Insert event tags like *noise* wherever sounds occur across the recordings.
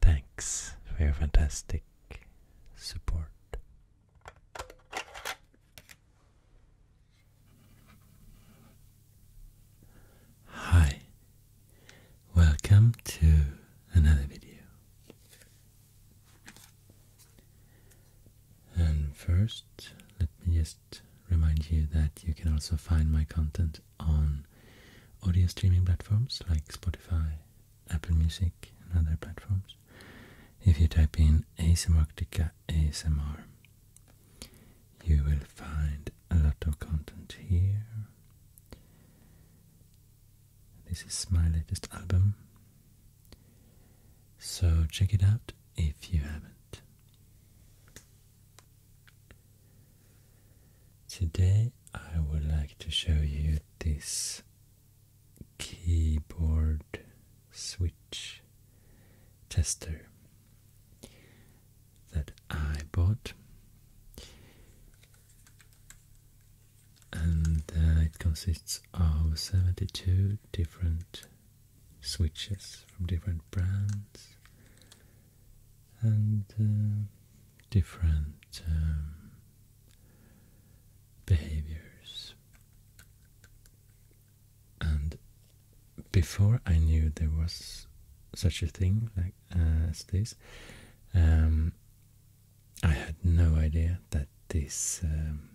Thanks for your fantastic support. Hi, welcome to another video. And first, let me just remind you that you can also find my content on audio streaming platforms like Spotify, Apple Music, and other platforms. If you type in ASMRctica ASMR, you will find a lot of content here. This is my latest album. So check it out if you haven't. Today I would like to show you this keyboard switch tester that I bought and uh, it consists of 72 different switches from different brands and uh, different um, behaviors. And before I knew there was such a thing like uh, as this, um, I had no idea that this um,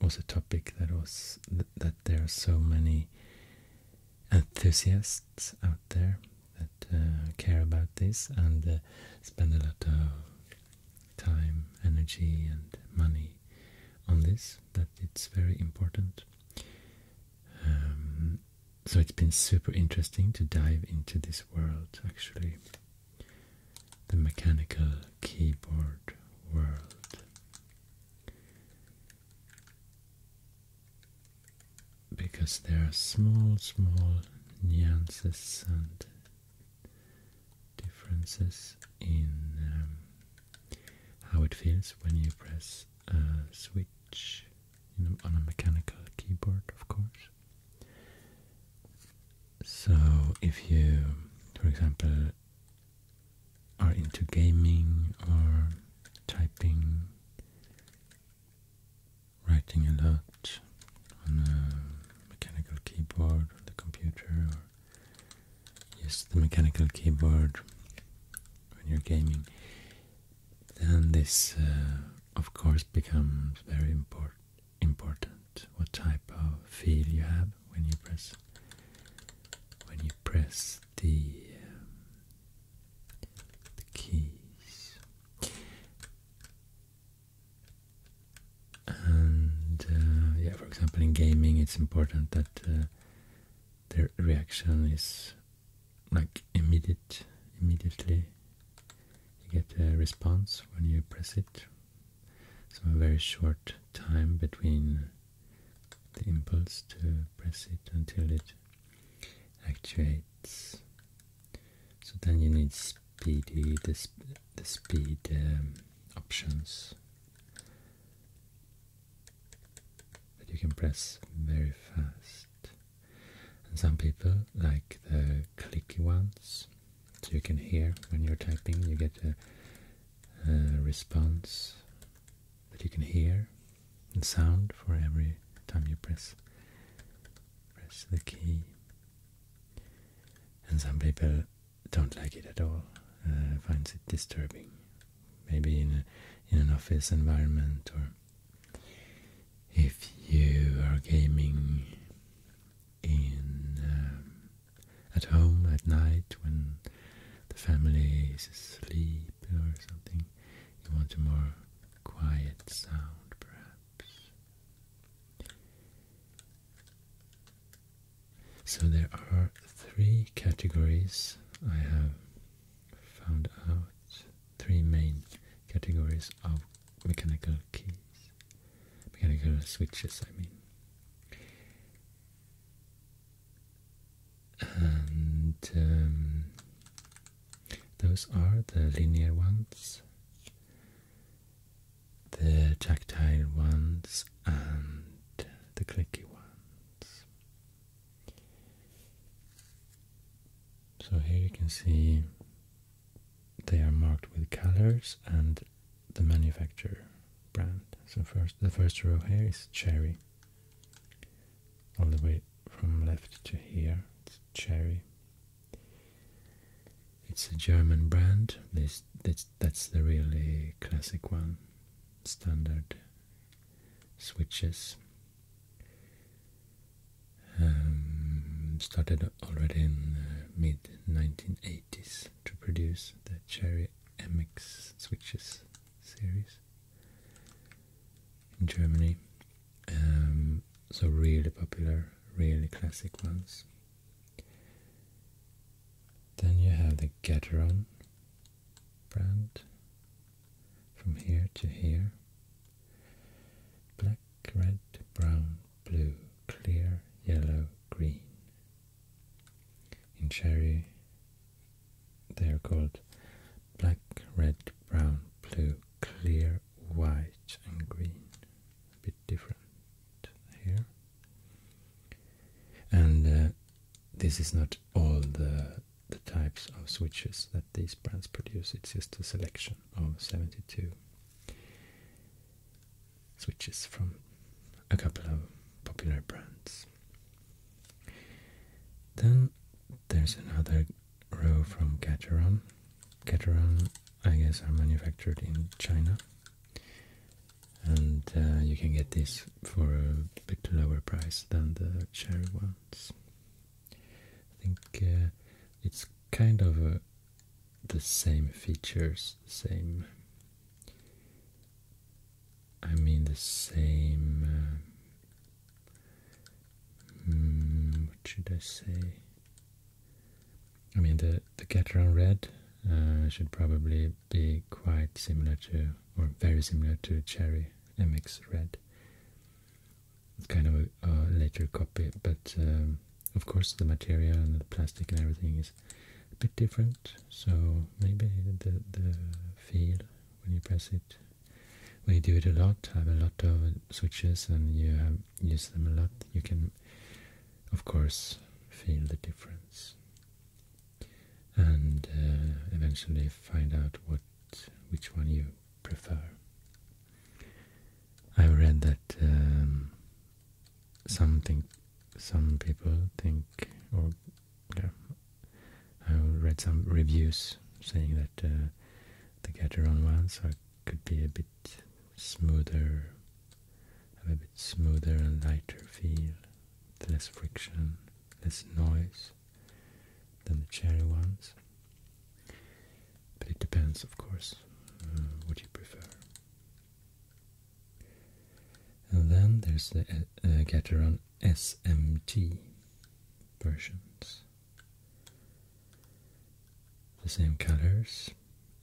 was a topic that was that there are so many enthusiasts out there that uh, care about this and uh, spend a lot of time, energy, and money on this. That it's very important. Um, so it's been super interesting to dive into this world actually the mechanical keyboard world. Because there are small, small nuances and differences in um, how it feels when you press a switch on a mechanical keyboard, of course. So if you, for example, are into gaming or typing, writing a lot on a mechanical keyboard or the computer or use the mechanical keyboard when you're gaming, then this uh, of course becomes very important important what type of feel you have when you press when you press the, um, the keys. And uh, yeah, for example, in gaming, it's important that uh, the reaction is like immediate. Immediately, you get a response when you press it so a very short time between the impulse to press it until it actuates. So then you need speedy the, the speed um, options that you can press very fast. And some people like the clicky ones so you can hear when you're typing, you get a, response that you can hear and sound for every time you press press the key. And some people don't like it at all, uh, finds it disturbing. Maybe in in an office environment or if you are gaming in um, at home at night when the family is asleep or something. You want a more quiet sound, perhaps. So there are three categories I have found out, three main categories of mechanical keys, mechanical switches, I mean. And um, those are the linear ones, the tactile ones, and the clicky ones. So here you can see they are marked with colors and the manufacturer brand. So first, the first row here is cherry. All the way from left to here, it's cherry. It's a German brand. This, that's, that's the really classic one. Standard switches. Um, started already in uh, mid 1980s to produce the Cherry MX switches series in Germany. Um, so really popular, really classic ones. Then you have the Gateron brand from here to here. Black red, brown, blue, clear, yellow, green. In cherry, they are called black, red, brown, blue, clear, white, and green. A bit different here. And uh, this is not all the the types of switches that these brands produce. It's just a selection of 72 switches from a couple of popular brands. Then there's another row from Gateron. Gateron, I guess, are manufactured in China, and uh, you can get this for a bit lower price than the cherry ones. I think uh, it's kind of a the same features, the same. I mean, the same. Uh, mm, what should I say? I mean, the the Gateron Red uh, should probably be quite similar to, or very similar to, Cherry MX Red. It's kind of a, a later copy, but um, of course, the material and the plastic and everything is a bit different, so maybe the, the feel when you press it, when you do it a lot, have a lot of switches and you use them a lot, you can, of course, feel the difference and uh, eventually find out what which one you prefer. I've read that um, some think some people think or yeah, I read some reviews saying that uh, the Gateron ones are, could be a bit smoother, a bit smoother and lighter feel, less friction, less noise than the cherry ones. But it depends, of course, uh, what you prefer. And then there's the uh, uh Gateron SMG versions. The same colors.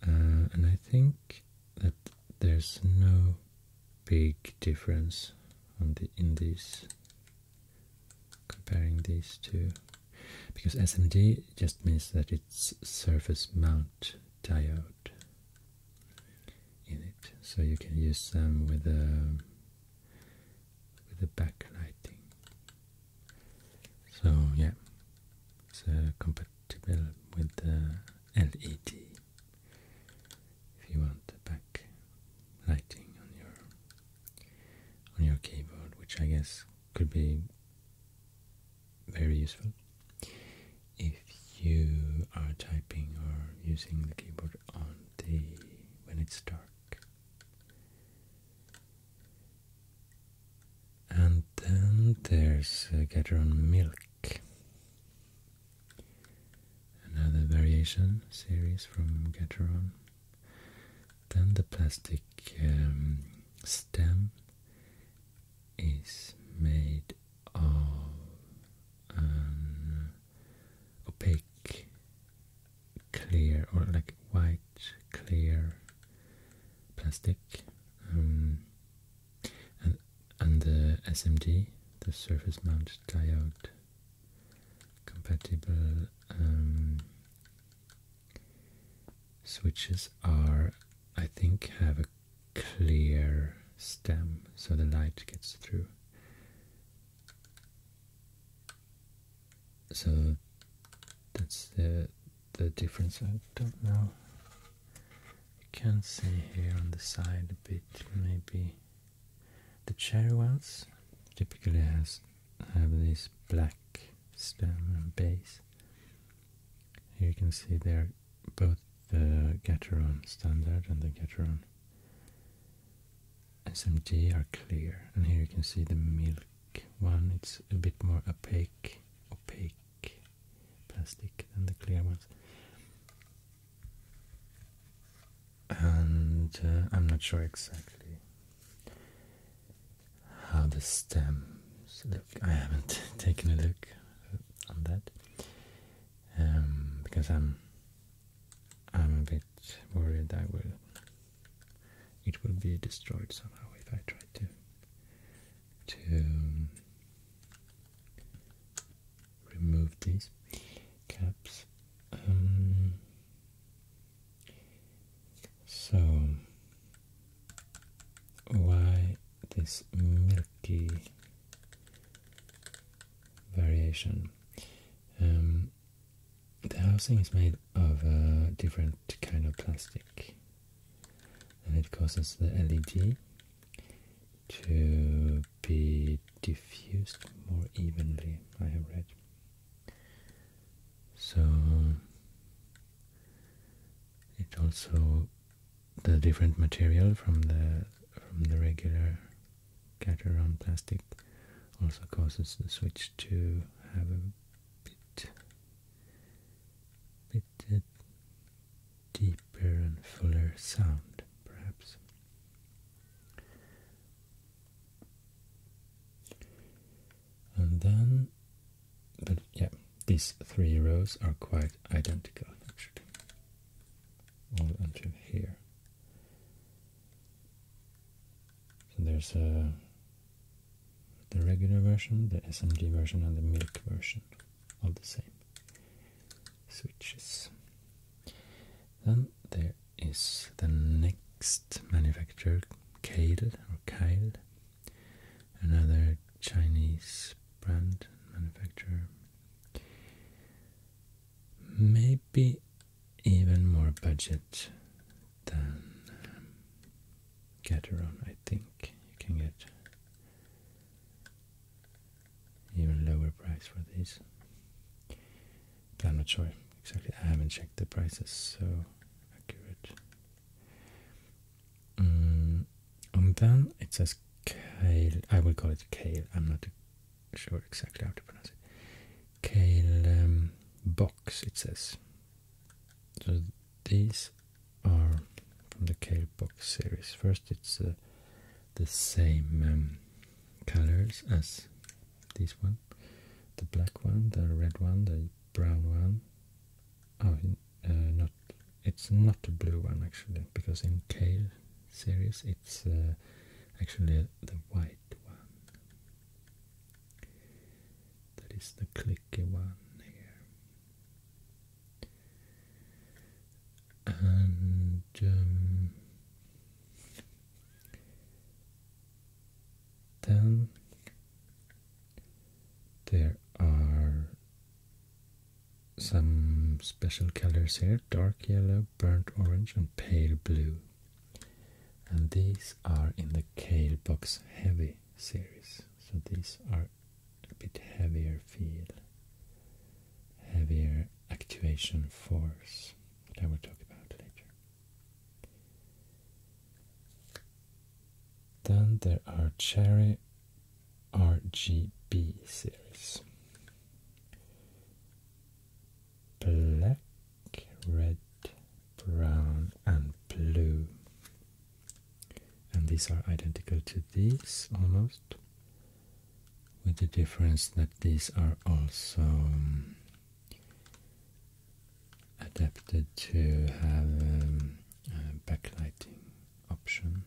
Uh, and I think that there's no big difference on the in these comparing these two because SMD just means that it's surface mount diode in it, so you can use them with a with the backlighting. So yeah, it's compatible with the LED if you want the back lighting on your on your keyboard, which I guess could be very useful. If you are typing or using the keyboard on the when it's dark. And then there's uh, Gateron Milk. Another variation series from Gatoron. Then the plastic um, stem is made of um, opaque clear or like white clear plastic um, and, and the SMD, the surface mount diode compatible um, switches are I think have a clear stem so the light gets through. So that's the the difference. I don't know. You can see here on the side a bit maybe the cherry ones typically has have this black stem base. Here you can see there both the Gateron Standard and the Gateron SMG are clear and here you can see the milk one, it's a bit more opaque, opaque plastic than the clear ones and uh, I'm not sure exactly how the stems look, I haven't *laughs* taken a look on that um, because I'm I'm a bit worried that will it will be destroyed somehow if I try to to remove these caps. Um, so why this milky variation. Um, the housing is made of a different kind of plastic and it causes the LED to be diffused more evenly, I have read. So it also the different material from the from the regular Cateron plastic also causes the switch to have a bit bit uh, deeper and fuller sound perhaps and then but yeah, these three rows are quite identical actually, all until here. So there's a uh, the regular version, the SMG version, and the milk version All the same switches. Then there is the next manufacturer, Kale or Kyle, another Chinese brand manufacturer. Maybe even more budget than um, I think you can get even lower price for these. But I'm not sure exactly. I haven't checked the prices so accurate and mm, then it says kale. I will call it kale. I'm not sure exactly how to pronounce it. Kale um, box. It says. So these are from the kale box series. First, it's uh, the same um, colors as this one, the black one, the red one, the brown one, Oh, uh, not it's not a blue one actually, because in kale series it's uh, actually the white one. That is the clicky one here. And um, then there are some special colors here dark yellow, burnt orange, and pale blue. And these are in the Kale Box Heavy series, so these are a bit heavier feel, heavier activation force that I will talk about later. Then there are cherry RGB series. Black, red, brown, and blue. And these are identical to these almost, with the difference that these are also um, adapted to have um, backlighting option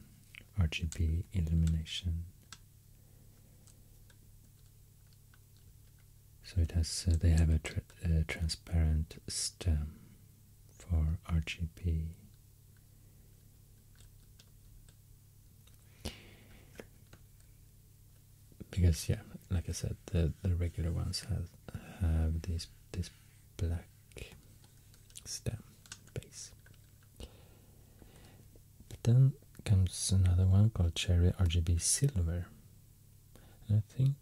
RGB illumination. So it has uh, they have a, transparent stem for RGB. Because yeah, like I said, the, the regular ones have have this this black stem base. But then comes another one called Cherry RGB Silver. And I think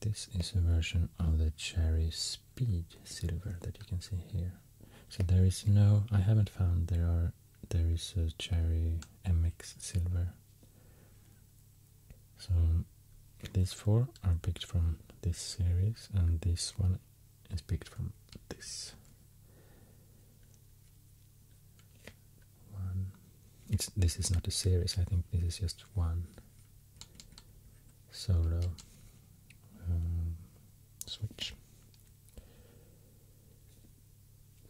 this is a version of the Cherry Speed Silver that you can see here. So there is no, I haven't found there are, there is a Cherry MX Silver. So these four are picked from this series and this one is picked from this one. this is not a series. I think this is just one solo um, switch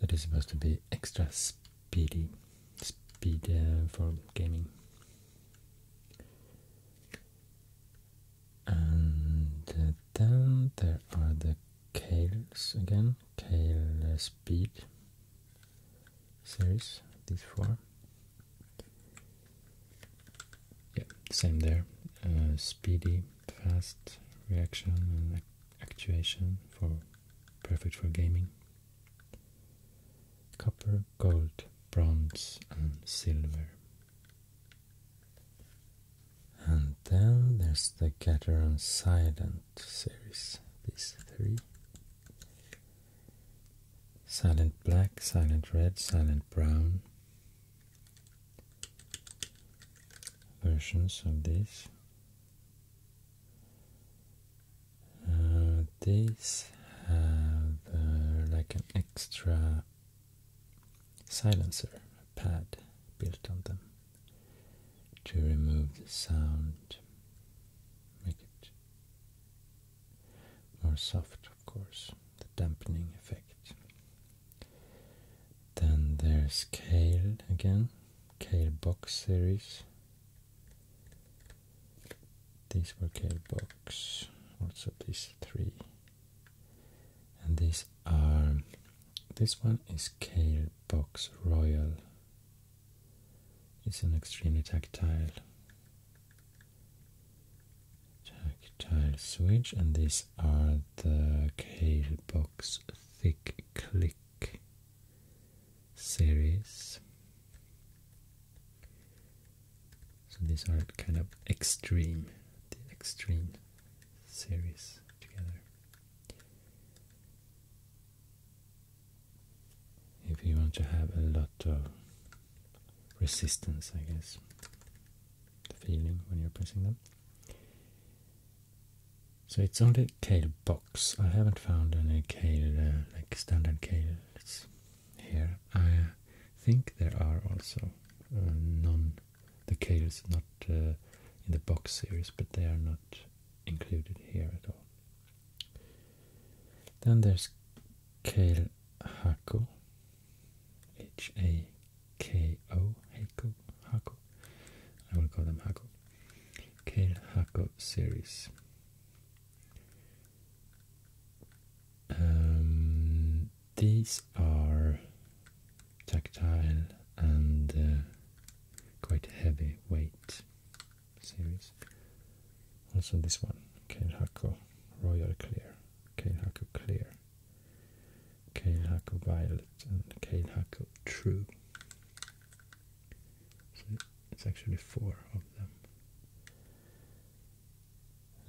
that is supposed to be extra speedy, speed uh, for gaming. And uh, then there are the Kales again, Kale Speed series, these four. Yeah, same there. Uh, speedy, fast reaction and actuation for perfect for gaming. Copper, gold, bronze, and silver. And then there's the Gateron Silent series. These three Silent Black, Silent Red, Silent Brown versions of these. Uh, these have uh, like an extra silencer pad built on them to remove the sound, make it more soft, of course, the dampening effect. Then there's Kale again, Kale Box series. These were Kale Box, also these three and these are this one is Kale Box Royal. It's an extremely tactile tactile switch and these are the Kale Box Thick Click series. So these are kind of extreme, the extreme series together. If you want to have a lot of resistance, I guess, the feeling when you're pressing them. So it's only Kale box. I haven't found any Kale, uh, like standard Kale here. I think there are also uh, the decatures not uh, in the box series, but they are not included here at all. Then there's Kale Hako, H A K O, Hako, Hako. I will call them Hako. Kale Hako series. Um, these are tactile and uh, quite heavy weight series. Also this one, Keilhaku Royal Clear, Keilhaku Clear, Keilhaku Violet and Keilhaku True. So it's actually four of them.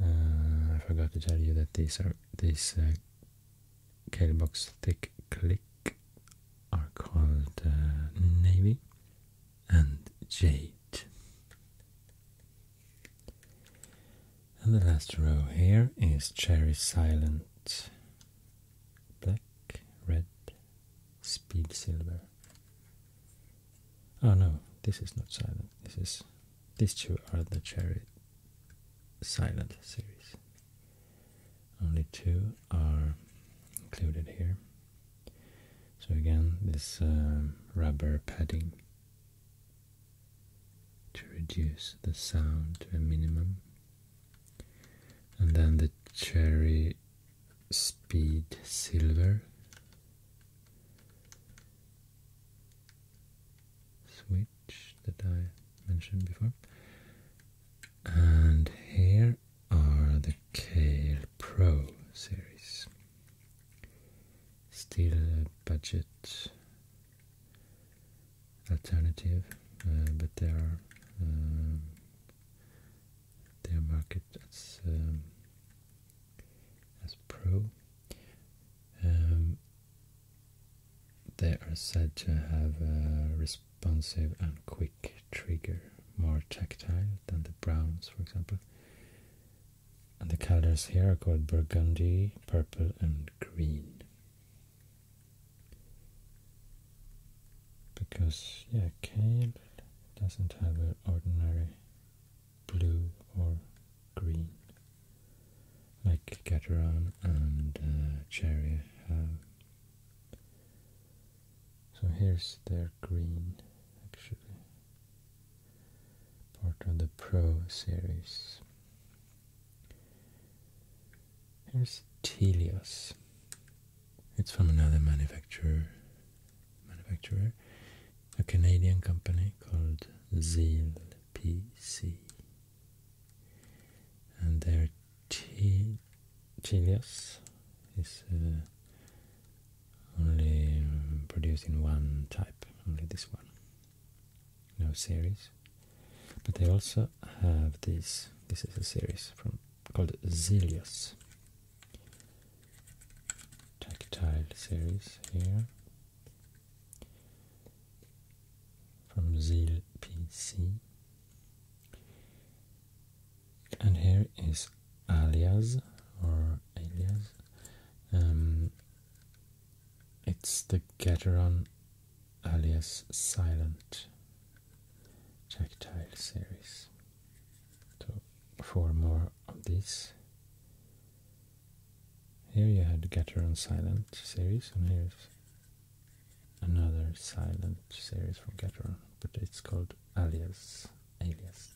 Uh, I forgot to tell you that these are these uh, box Thick Click are called uh, Navy and Jade. And the last row here is Cherry Silent. Black, red, speed silver. Oh no, this is not silent. This is these two are the Cherry Silent series. Only two are included here. So again, this um, rubber padding to reduce the sound to a minimum. And then the Cherry Speed Silver switch that I mentioned before. And here are the Kale Pro series. Still a budget alternative, uh, but they are uh, they are marketed as um, as Pro um, they are said to have a responsive and quick trigger, more tactile than the browns, for example. And the colors here are called burgundy, purple, and green. Because, yeah, kale doesn't have an ordinary blue or green like Gateron and uh, Cherry have. So here's their green, actually, part of the Pro series. Here's Telios. It's from another manufacturer, manufacturer, a Canadian company called Zeal PC. And their T Chilios is only um, producing one type, only this one. No series. But they also have this. This is a series from called Zelios. Tactile series here from ZPC. And here is alias or alias. Um, it's the Gateron alias silent tactile series. So four more of these here you had Gatter on Silent series, and here's another silent series from Gatter, but it's called Alias. Alias.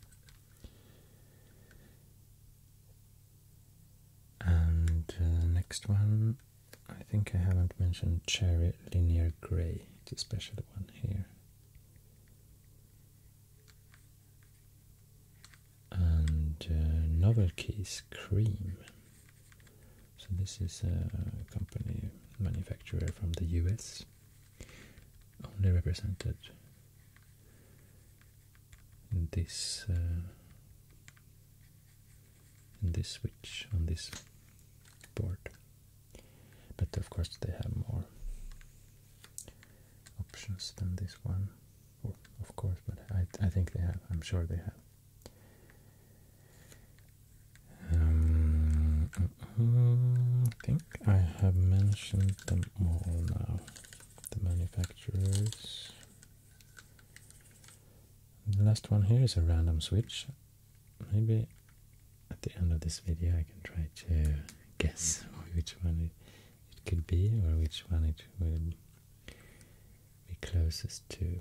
And uh, next one, I think I haven't mentioned Cherry Linear Grey. It's a special one here and uh, Cream. So this is a company manufacturer from the US, only represented in this uh, in this switch on this board. But of course they have more options than this one of course, but I, I think they have. I'm sure they have. Um, I think I have mentioned them all now. The manufacturers. The last one here is a random switch. Maybe at the end of this video I can try to guess *laughs* which one it it could be or which one it would be closest to.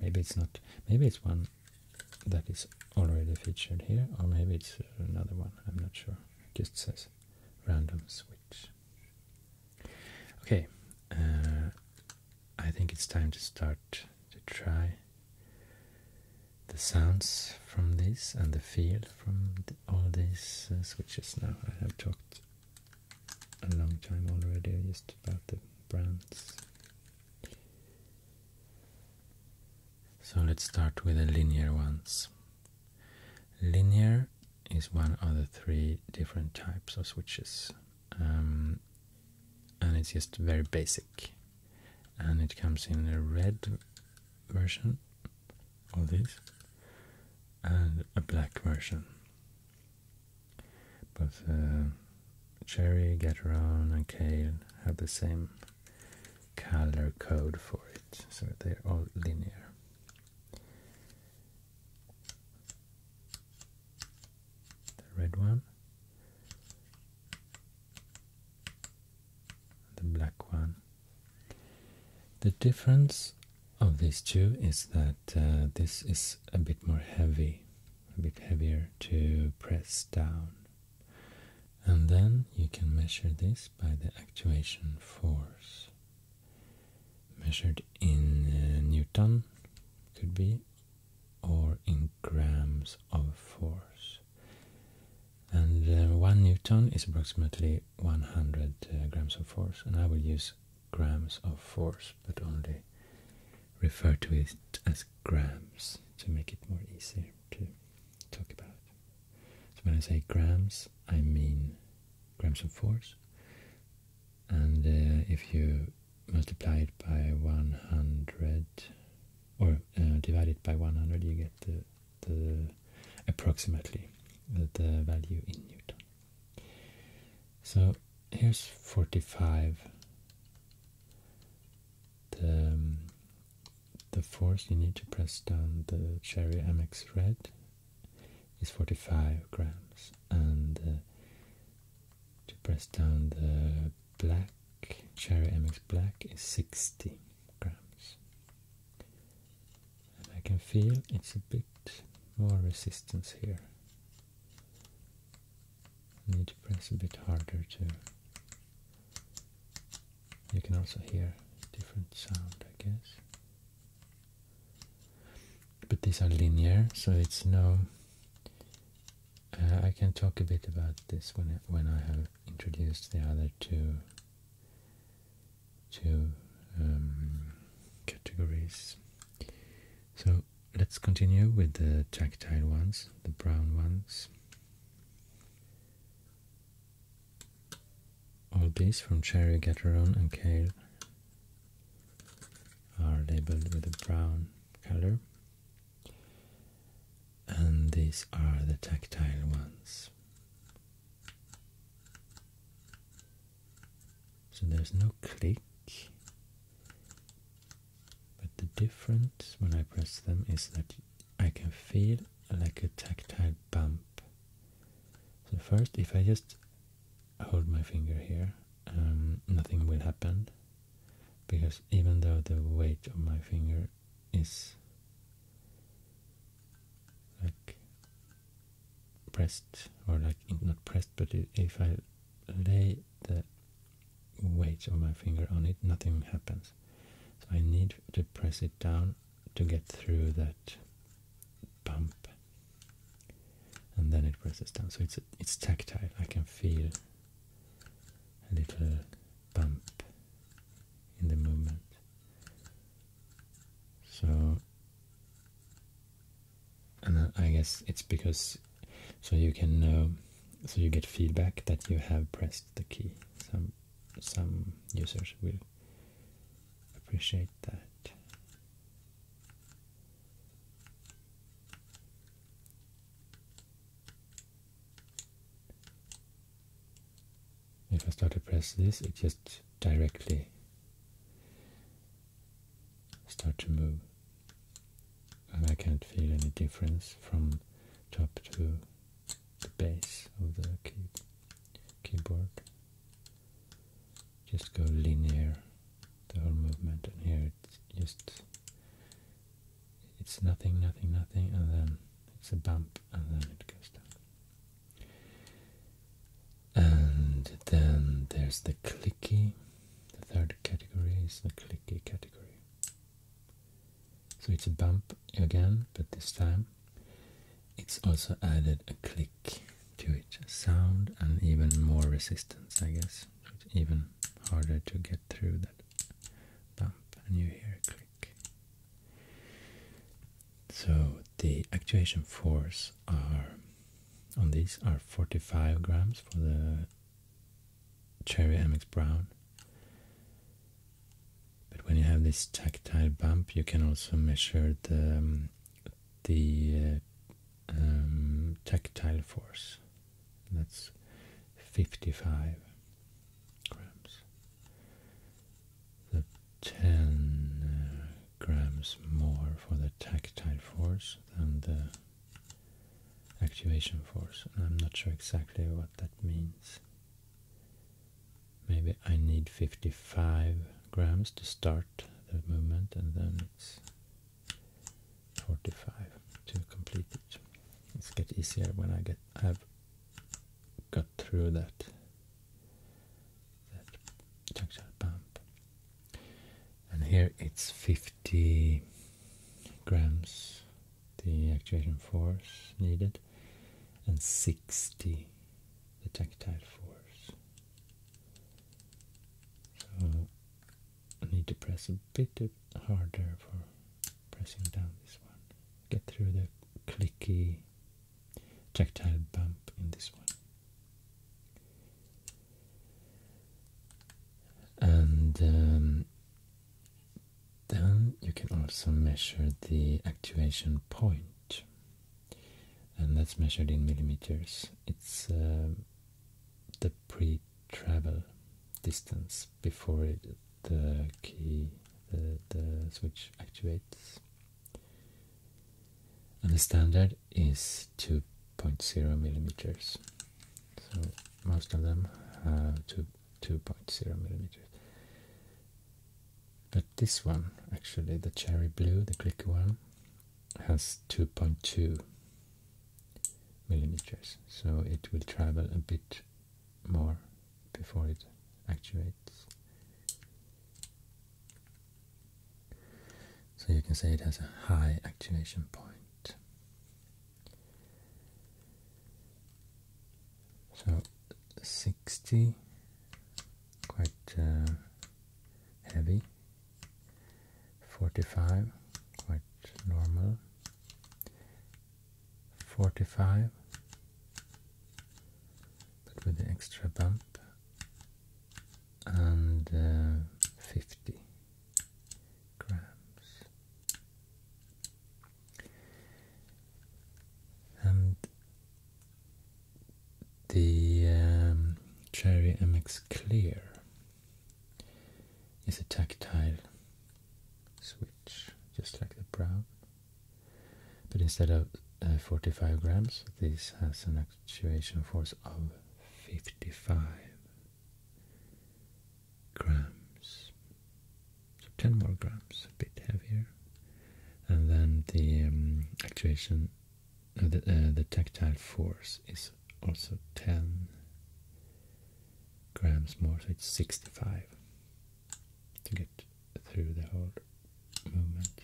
Maybe it's not, maybe it's one that is already featured here or maybe it's another one, I'm not sure. It just says random switch. Okay, uh, I think it's time to start to try the sounds from this and the feel from all these uh, switches now. I have talked a long time already, just about the brands. So let's start with the linear ones. Linear is one of the three different types of switches, um, and it's just very basic. And it comes in a red version of this and a black version. But uh, cherry, gatoron, and kale have the same color code for it, so they're all linear. The red one, the black one. The difference of these two is that uh, this is a bit more heavy, a bit heavier to press down. And then you can measure this by the actuation force. Measured in uh, Newton, could be, or in grams of force. And uh, one Newton is approximately 100 grams of force, and I will use grams of force, but only refer to it as grams to make it more easier to talk about. So when I say grams, I mean grams of force, and uh, if you multiply it by 100 or uh, divide it by 100, you get the, the approximately the value in newton. So here's 45. The, um, the force you need to press down the Cherry MX Red is 45 grams, and uh, to press down the black Cherry MX Black is 60 grams and I can feel it's a bit more resistance here. need to press a bit harder too. You can also hear different sound, I guess. But these are linear, so it's no. Uh, I can talk a bit about this when I, when I have introduced the other two two um, categories so let's continue with the tactile ones, the brown ones. All these from Cherry, Gateron and Kale are labeled with a brown color. And these are the tactile ones. So there's no click, but the difference when I press them is that I can feel like a tactile bump. So first, if I just hold my finger here, um, nothing will happen because even though the weight of my finger is like pressed or like not pressed but if I lay the weight of my finger on it nothing happens so I need to press it down to get through that bump and then it presses down so it's it's tactile I can feel a little bump in the movement so and uh, I guess it's because so you can know um, so you get feedback that you have pressed the key. Some some users will appreciate that. If I start to press this, it just directly start to move and I can't feel any difference from top to the base of the keyboard just go linear the whole movement and here it's just it's nothing nothing nothing and then it's a bump and then it goes down and then there's the clicky. The third category is the clicky category. So it's a bump again, but this time it's also added a click to it. Sound and even more resistance, I guess. it's even harder to get through that bump, and you hear a click. So the actuation force are on these are 45 grams for the Cherry Amex Brown. But when you have this tactile bump, you can also measure the um, the uh, um, tactile force. That's 55 grams. The 10 uh, grams more for the tactile force than the activation force. And I'm not sure exactly what that means. Maybe I need 55 grams to start the movement and then it's 45 to complete it. It's get easier when I get i have got through that that tactile bump and here it's 50 grams the actuation force needed and 60 the tactile force so I need to press a bit harder for pressing down this one get through the clicky tactile bump in this one and um, then you can also measure the actuation point, and that's measured in millimeters. It's um, the pre-travel distance before the key, the, the switch actuates. And the standard is 2.0 millimeters. So most of them have 2.0 millimeters. But this one, actually, the cherry blue, the clicky one, has 2.2 millimeters. So it will travel a bit more before it actuates. So you can say it has a high activation point. So 60, quite uh, heavy. 45, quite normal. 45, but with the extra bump and 50 grams and the um, Cherry MX Clear is a tactile switch, just like the brown. But instead of uh, 45 grams, this has an extra actuation force of 55 grams. So 10 more grams, a bit heavier. And then the um, actuation, uh, the, uh, the tactile force is also 10 grams more, so it's 65 to get through the whole movement.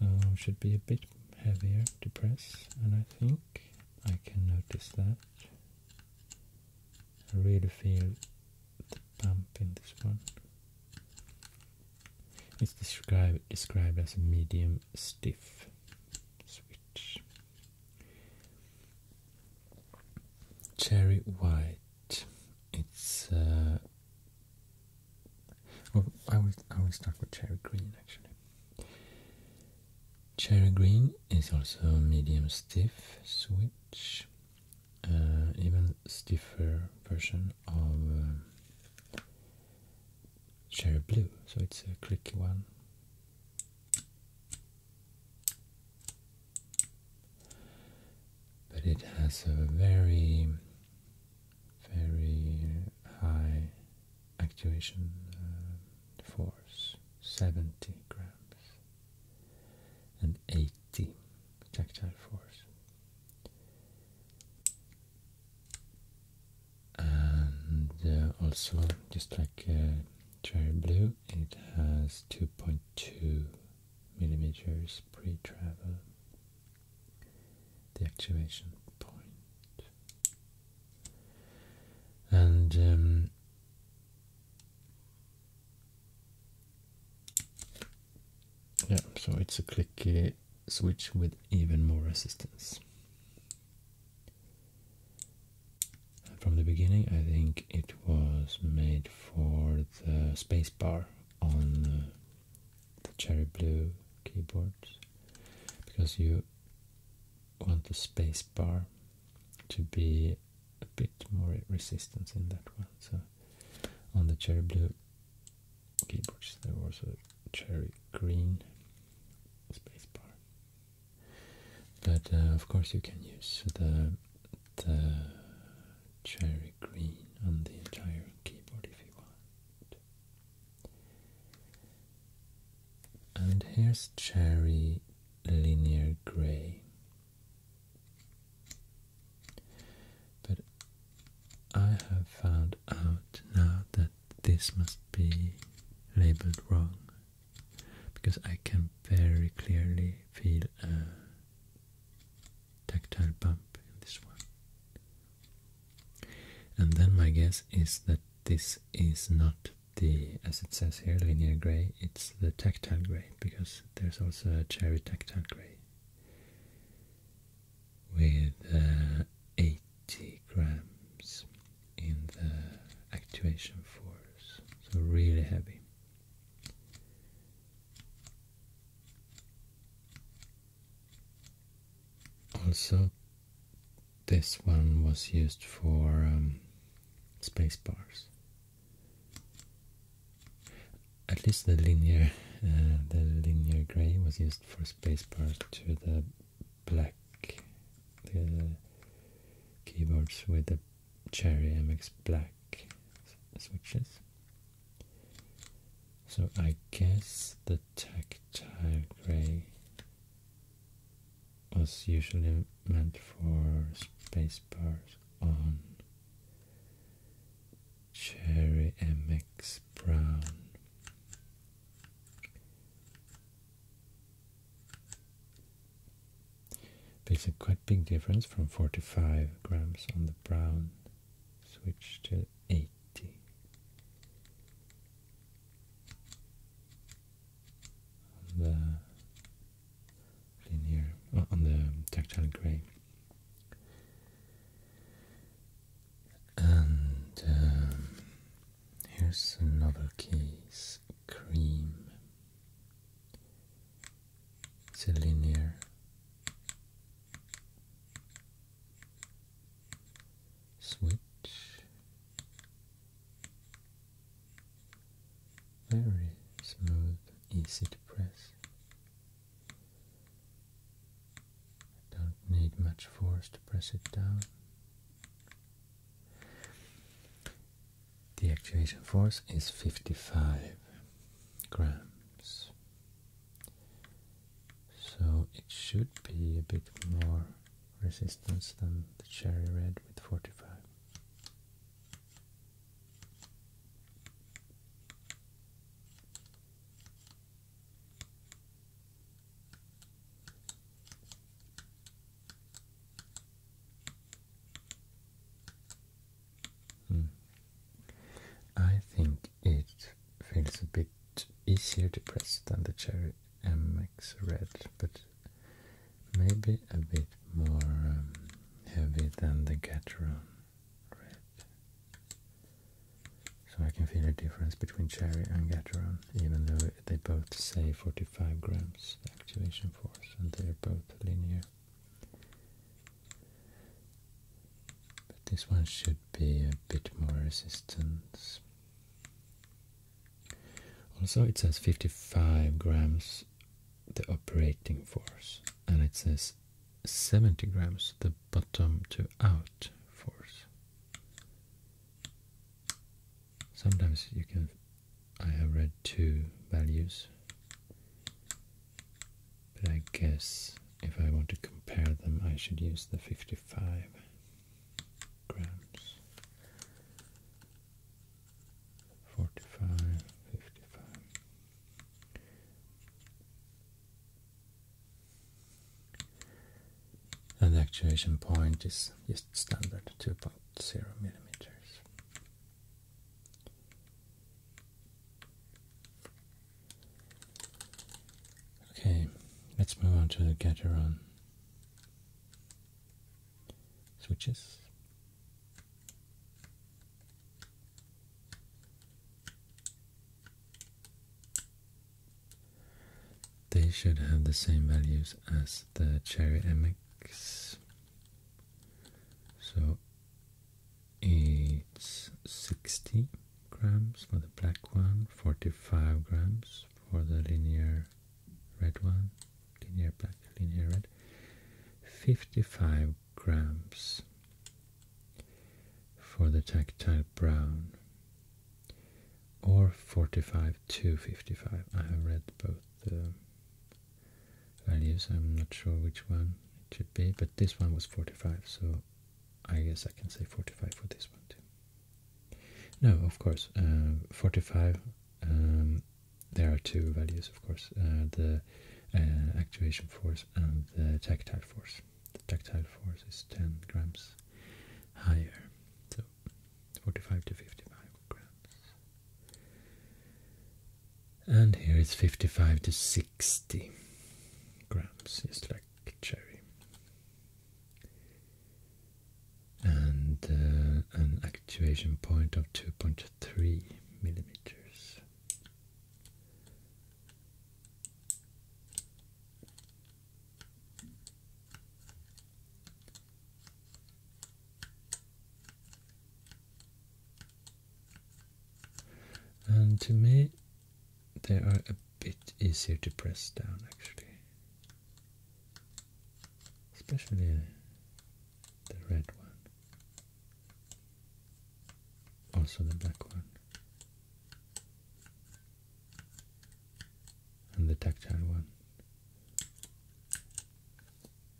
So it should be a bit heavier to press and I think I can notice that. I really feel the bump in this one. It's described described as a medium stiff switch. Cherry white. It's uh, I will, I will start with cherry green actually. Cherry green is also medium stiff switch, uh, even stiffer version of uh, cherry blue, so it's a clicky one. But it has a very very high actuation uh, force, 70 grams, and 80 tactile force. And uh, also, just like uh, Cherry Blue, it has 2.2 millimeters pre-travel the activation point. And um, yeah, so it's a clicky uh, switch with even more resistance. from the beginning, I think it was made for the spacebar on the cherry blue keyboards because you want the space bar to be a bit more resistance in that one. So on the cherry blue keyboards there was a cherry green space bar. But uh, of course you can use the the cherry green on the entire keyboard if you want. And here's cherry linear gray. But I have found out now that this must be labeled wrong because I can very clearly feel a tactile bump in this one. And then my guess is that this is not the, as it says here, linear gray, it's the tactile gray, because there's also a cherry tactile gray with uh, 80 grams in the actuation force, so really heavy. Also, this one was used for um, space bars. At least the linear, uh, the linear gray was used for space bars to the black, keyboards with the Cherry MX Black switches. So I guess the tactile gray was usually meant for space bars on Cherry MX Brown. There's a quite big difference from four to five grams on the brown switch to eight eighty. On the linear, uh, on the tactile gray, and um, here's another case: cream. It's a linear switch. Very smooth, easy to press. Don't need much force to press it down. The actuation force is 55 grams so it should be a bit more resistance than the cherry red with 45. Hmm. I think it feels a bit easier to press than the Cherry MX Red, but maybe a bit more um, heavy than the Gateron Red. So I can feel a difference between Cherry and Gateron, even though they both say 45 grams activation force and they're both linear. But this one should be a bit more resistance. Also, it says 55 grams the operating force, and it says 70 grams the bottom to out force. Sometimes you can, I have read two values, but I guess if I want to compare them, I should use the 55 grams. 45, And the actuation point is just standard 2.0 millimeters. Okay, let's move on to the Gateron switches. They should have the same values as the Cherry MX. So it's 60 grams for the black one, 45 grams for the linear red one, linear black, linear red, 55 grams for the tactile brown, or 45 to 55. I have read both um, values, I'm not sure which one it should be, but this one was 45, so I guess I can say 45 for this one too. No, of course, uh, 45, um, there are two values, of course, uh, the uh, actuation force and the tactile force. The tactile force is 10 grams higher, so 45 to 55 grams. And here it's 55 to 60 grams, just like cherry. And uh, an actuation point of 2.3 millimeters. And to me, they are a bit easier to press down actually. Especially the red one. Also the black one. And the tactile one.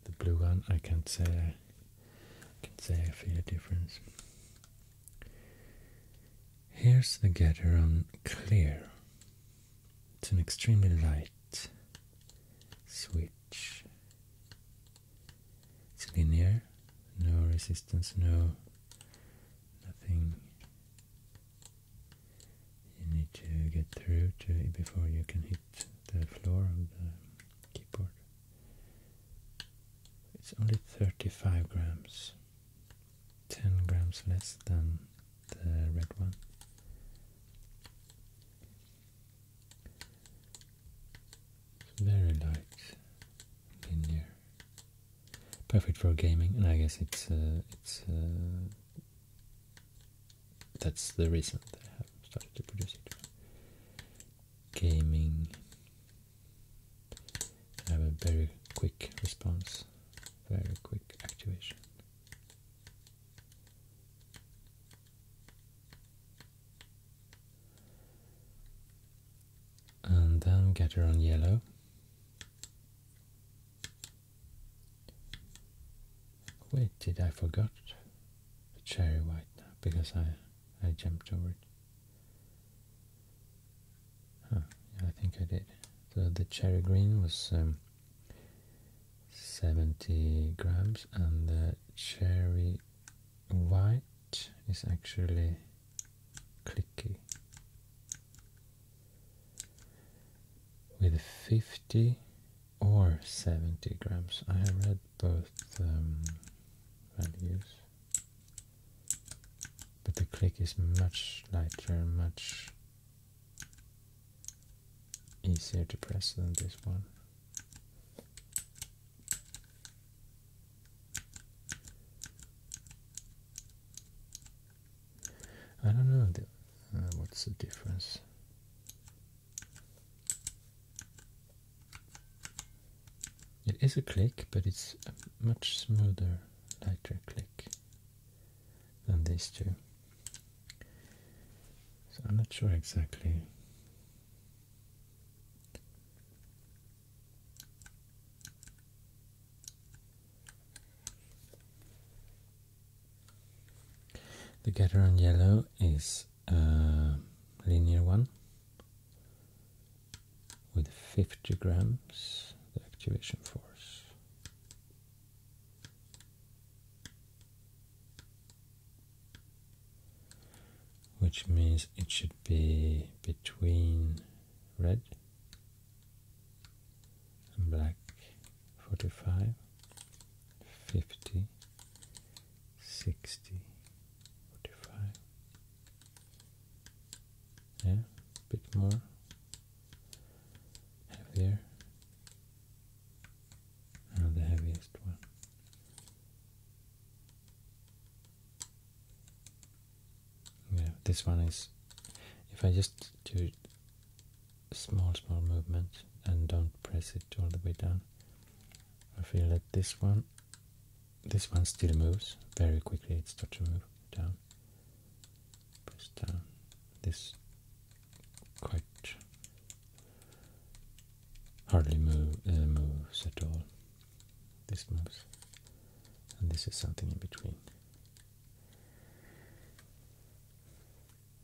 The blue one, I can't say. I can say I feel a difference. Here's the getter on clear. It's an extremely light switch. It's linear, no resistance, no nothing you need to get through to it before you can hit the floor of the keyboard. It's only 35 grams. 10 grams less than the red one. very light, linear, perfect for gaming, and I guess it's uh, it's uh, that's the reason that I have started to produce it. Gaming have a very quick response, very quick activation. And then get her on yellow. Wait, did I forget the cherry white now because I I jumped over it. I think I did. the cherry green was um, 70 grams and the cherry white is actually clicky with 50 or 70 grams. I have read both um, values but the click is much lighter, much easier to press than this one. I don't know uh, what's the difference. It is a click, but it's a much smoother, lighter click than these two. So I'm not sure exactly The Gateron yellow is a uh, linear one with 50 grams the activation force. Which means it should be between red and black 45, 50, 60, 45, yeah, a bit more heavier not the heaviest one yeah, this one is if I just do small small movement and don't press it all the way down I feel that this one this one still moves very quickly it starts to move down press down uh, this quite hardly uh, moves at all this moves and this is something in between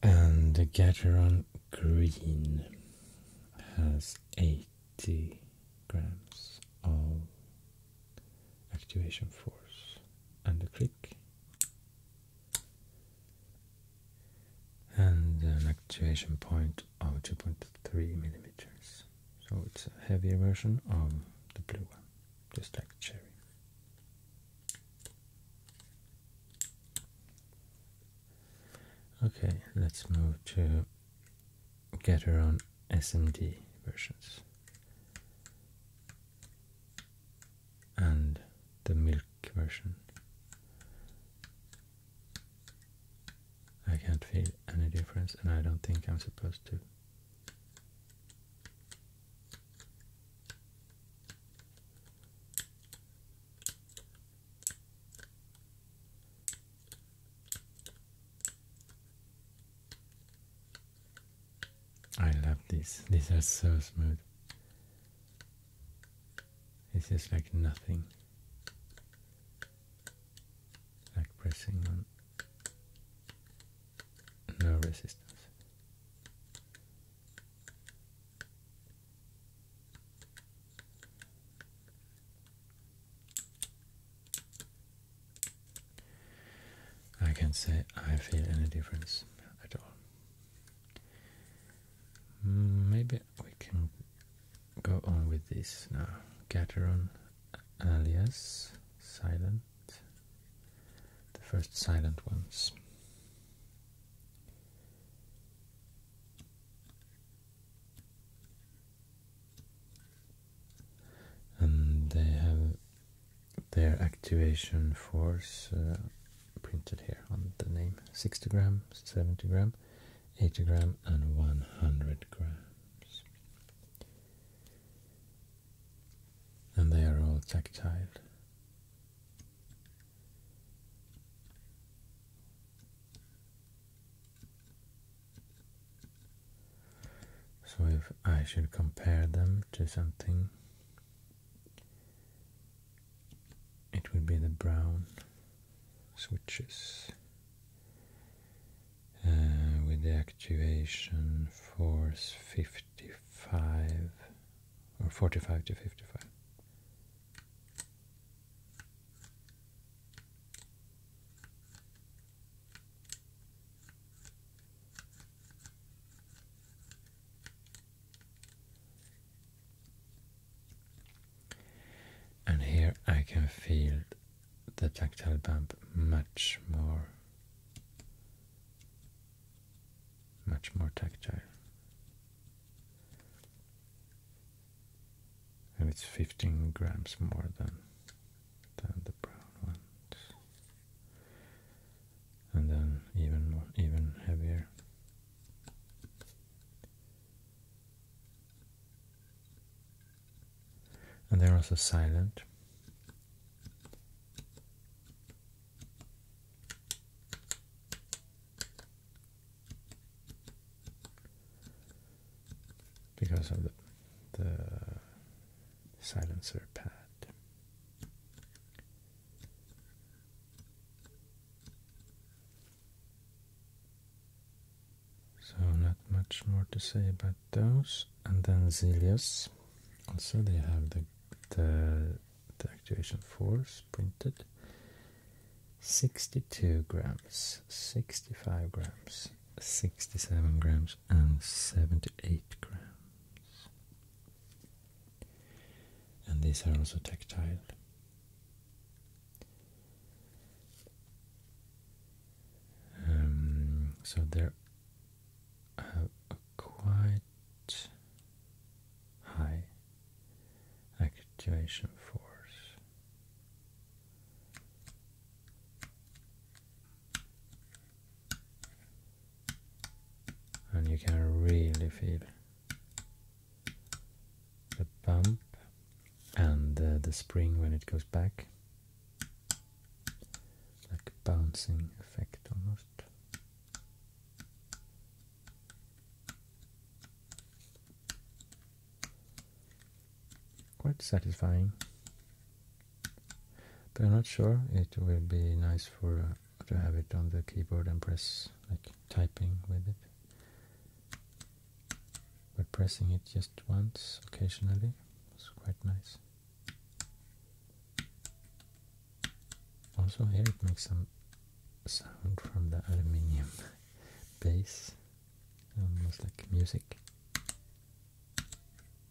and the Gateron green has 80 grams of activation force and a click and an activation point of 2.3 millimeters so it's a heavier version of the blue one just like cherry okay let's move to get her on SMD versions and the milk version. I can't feel any difference and I don't think I'm supposed to. I love this. These are so smooth. It's just like nothing. Like pressing on no resistance. I can't say I feel any difference at all. Mm, maybe we can go on with this now. Gateron alias silent, the first silent ones. And they have their activation force uh, printed here on the name 60 gram, 70 gram, 80 gram, and 100 grams. And they are all tactile. So if I should compare them to something, it would be the brown switches uh, with the actuation force 55 or 45 to 55. And here I can feel the tactile bump much more much more tactile. And it's 15 grams more than than the brown ones and then even even heavier. And they're also silent. Because of the silencer pad. So not much more to say about those. And then Zelius. Also they have the the, the actuation force printed. 62 grams, 65 grams, 67 grams and 78 grams and these are also tactile. Um, so they're a quite high activation force and you can really feel the bump and the spring when it goes back like a bouncing effect almost quite satisfying but I'm not sure it will be nice for uh, to have it on the keyboard and press like typing with it but pressing it just once occasionally was quite nice also here it makes some sound from the aluminium *laughs* bass almost like music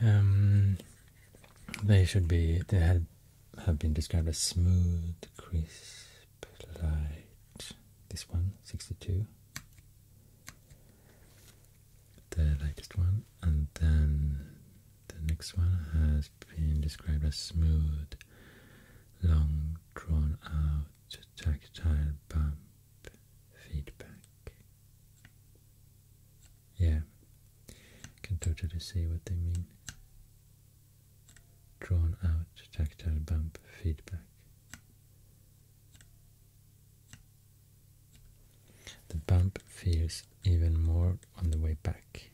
Um, they should be. They had have been described as smooth, crisp, light. This one, sixty-two the latest one, and then the next one has been described as smooth, long, drawn out, tactile bump feedback. Yeah, can totally see what they mean. Drawn out tactile bump feedback. The bump feels even more on the way back.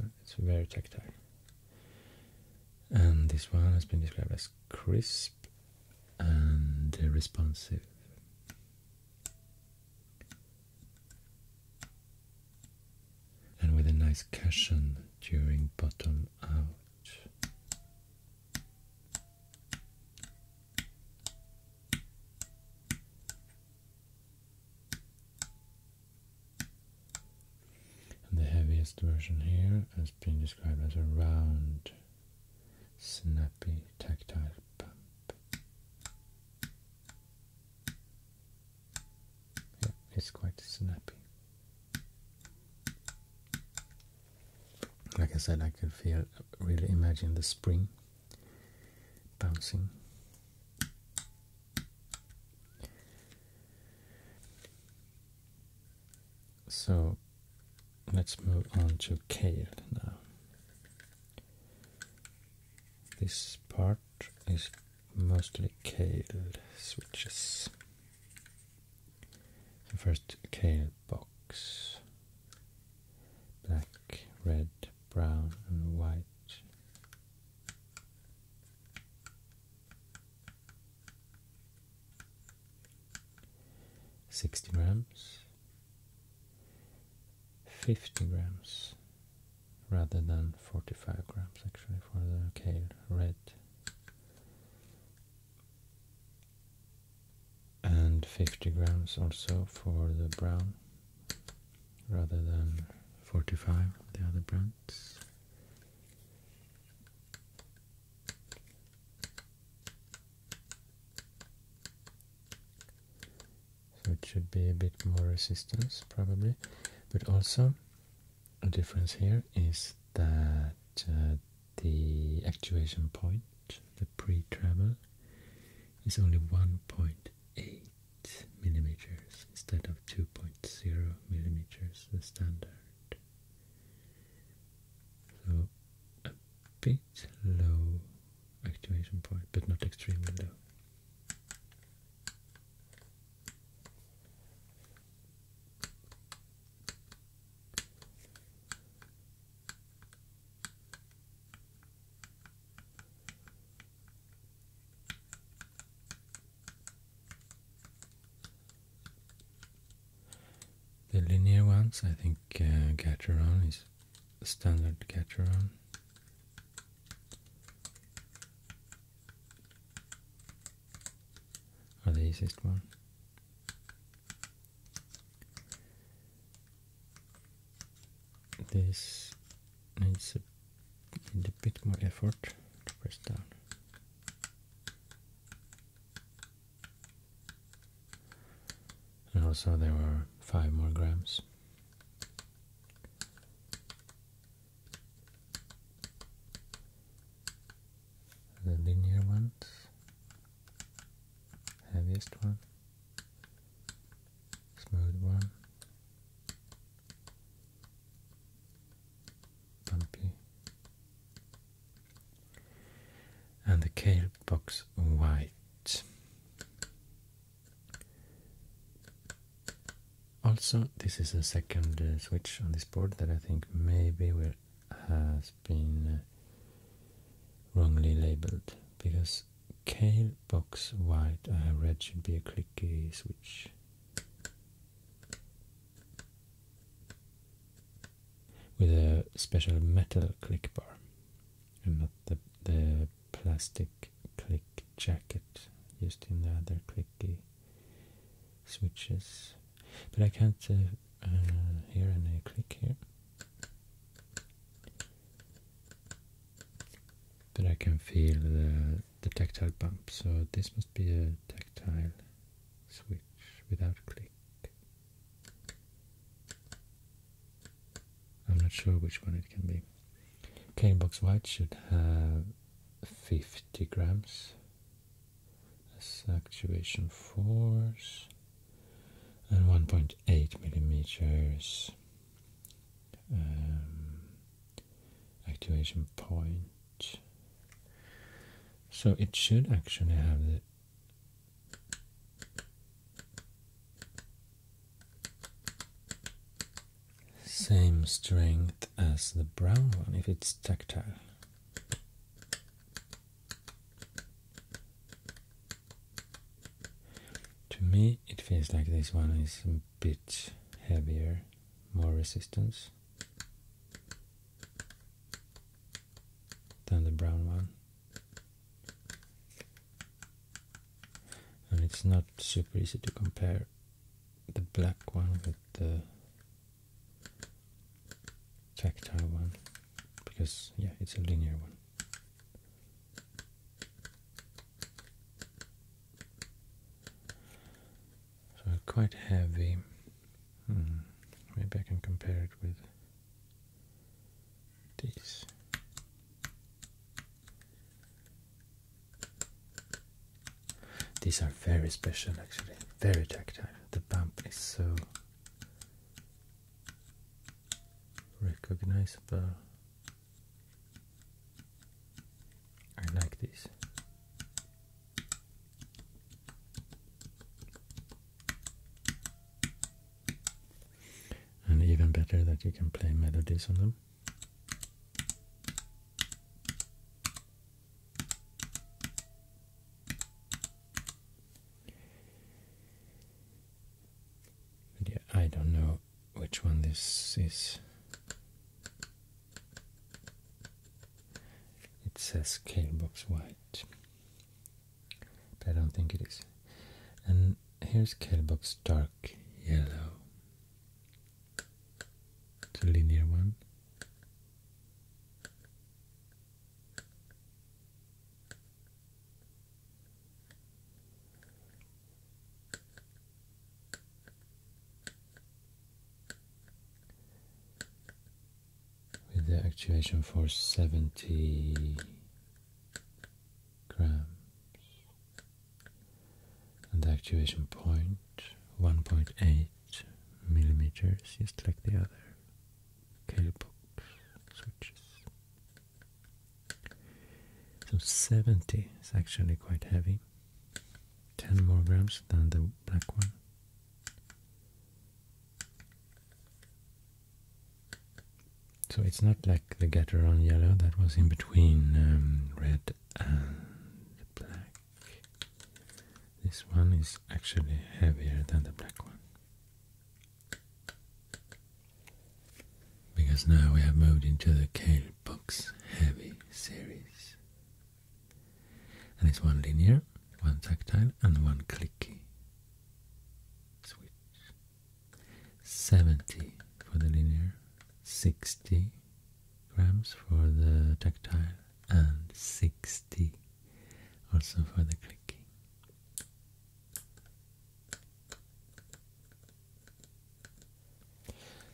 Oh, it's very tactile. And this one has been described as crisp and responsive and with a nice cushion during bottom out. the heaviest version here has been described as a round, snappy, tactile pump. Yeah, it's quite snappy. Like I said, I could feel, really imagine the spring bouncing. So let's move on to Kale now. This part is mostly Kale switches. So first Kale box, black, red, brown and white. Sixty grams, fifty grams, rather than forty-five grams actually for the kale red and 50 grams also for the brown rather than 45 the other brands so it should be a bit more resistance probably but also the difference here is that uh, the actuation point, the pre-travel, is only 1.8 millimeters instead of 2.0 millimeters, the standard. So a bit low actuation point, but not extremely low. The linear ones, I think uh, Gateron is standard Gateron are the easiest one. This needs a, bit more effort to press down. And also there are five more grams the linear ones, heaviest one, smooth one, bumpy, and the kale box white. Also, this is a second uh, switch on this board that I think maybe has been uh, wrongly labeled because Kale Box White I have uh, read should be a clicky switch. With a special metal click bar and not the, the plastic click jacket used in the other clicky switches, but I can't uh, uh, hear any click here. But I can feel the, the tactile bump, so this must be a tactile switch without click. I'm not sure which one it can be. Cane box white should have 50 grams a suction force and 1.8 millimeters um, point so it should actually have the same strength as the brown one if it's tactile to me, it feels like this one is a bit heavier, more resistance than the brown one. And it's not super easy to compare the black one with the tactile one because yeah it's a linear one so quite heavy hmm, maybe I can compare it with this. These are very special actually, very tactile. The bump is so recognizable. I like these. And even better that you can play melodies on them yeah, I don't know which one this is. It says scale box white, but I don't think it is. And here's Kelbox dark yellow. It's a linear one. With the actuation force 70 grams and the actuation point 1.8 millimeters, just like the other Calipox switches. So 70 is actually quite heavy, 10 more grams than the black one. So it's not like the Gateron yellow that was in between um, red and black. This one is actually heavier than the black one. Because now we have moved into the Kale Box Heavy series. And it's one linear, one tactile, and one clicky switch. 70 for the linear, 60 grams for the tactile and 60 also for the clicking.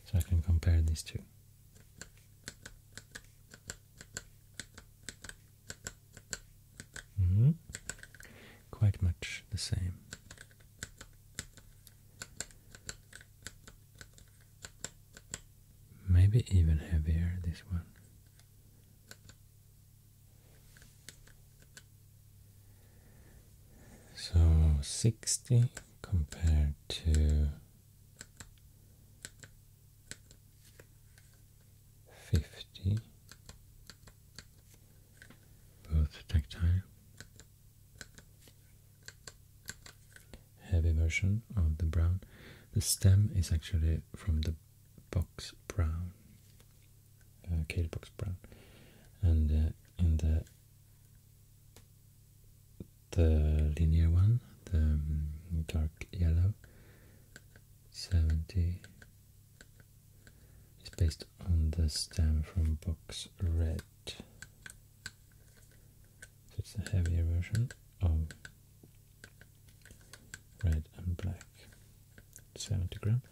So I can compare these two. Mm-hmm. Quite much the same. Maybe even heavier, this one. So 60 compared to 50, both tactile heavy version of the brown. The stem is actually from the box brown, uh, kale box brown, and uh, in the the linear one, the um, dark yellow, seventy is based on the stem from box red. So it's a heavier version of red and black, 70 gram.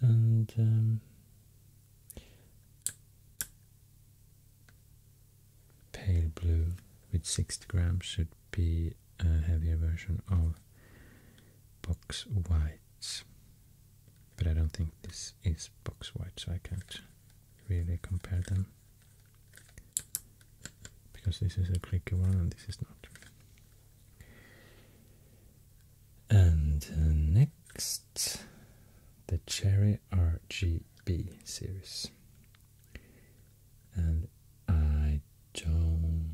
And um, pale blue with 60 grams should be a heavier version of box white, but I don't think this is box white so I can't really compare them because this is a clicker one and this is not. And uh, next, the Cherry RGB series. And I don't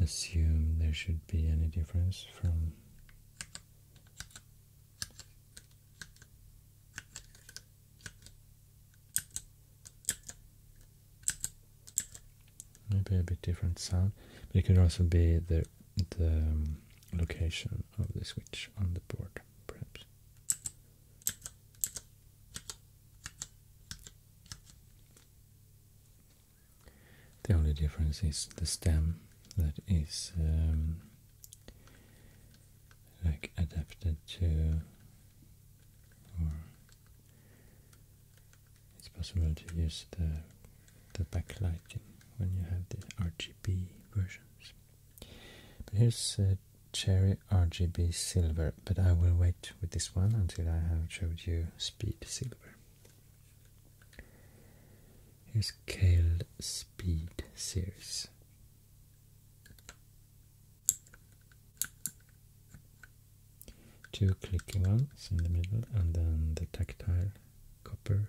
assume there should be any difference from Maybe a bit different sound, but it could also be the the um, location of the switch on the board, perhaps. The only difference is the stem that is um, like adapted to or it's possible to use the the backlighting when you have the RGB versions. But here's a cherry RGB silver, but I will wait with this one until I have showed you speed silver. Here's Kale Speed series two clicky ones in the middle and then the tactile copper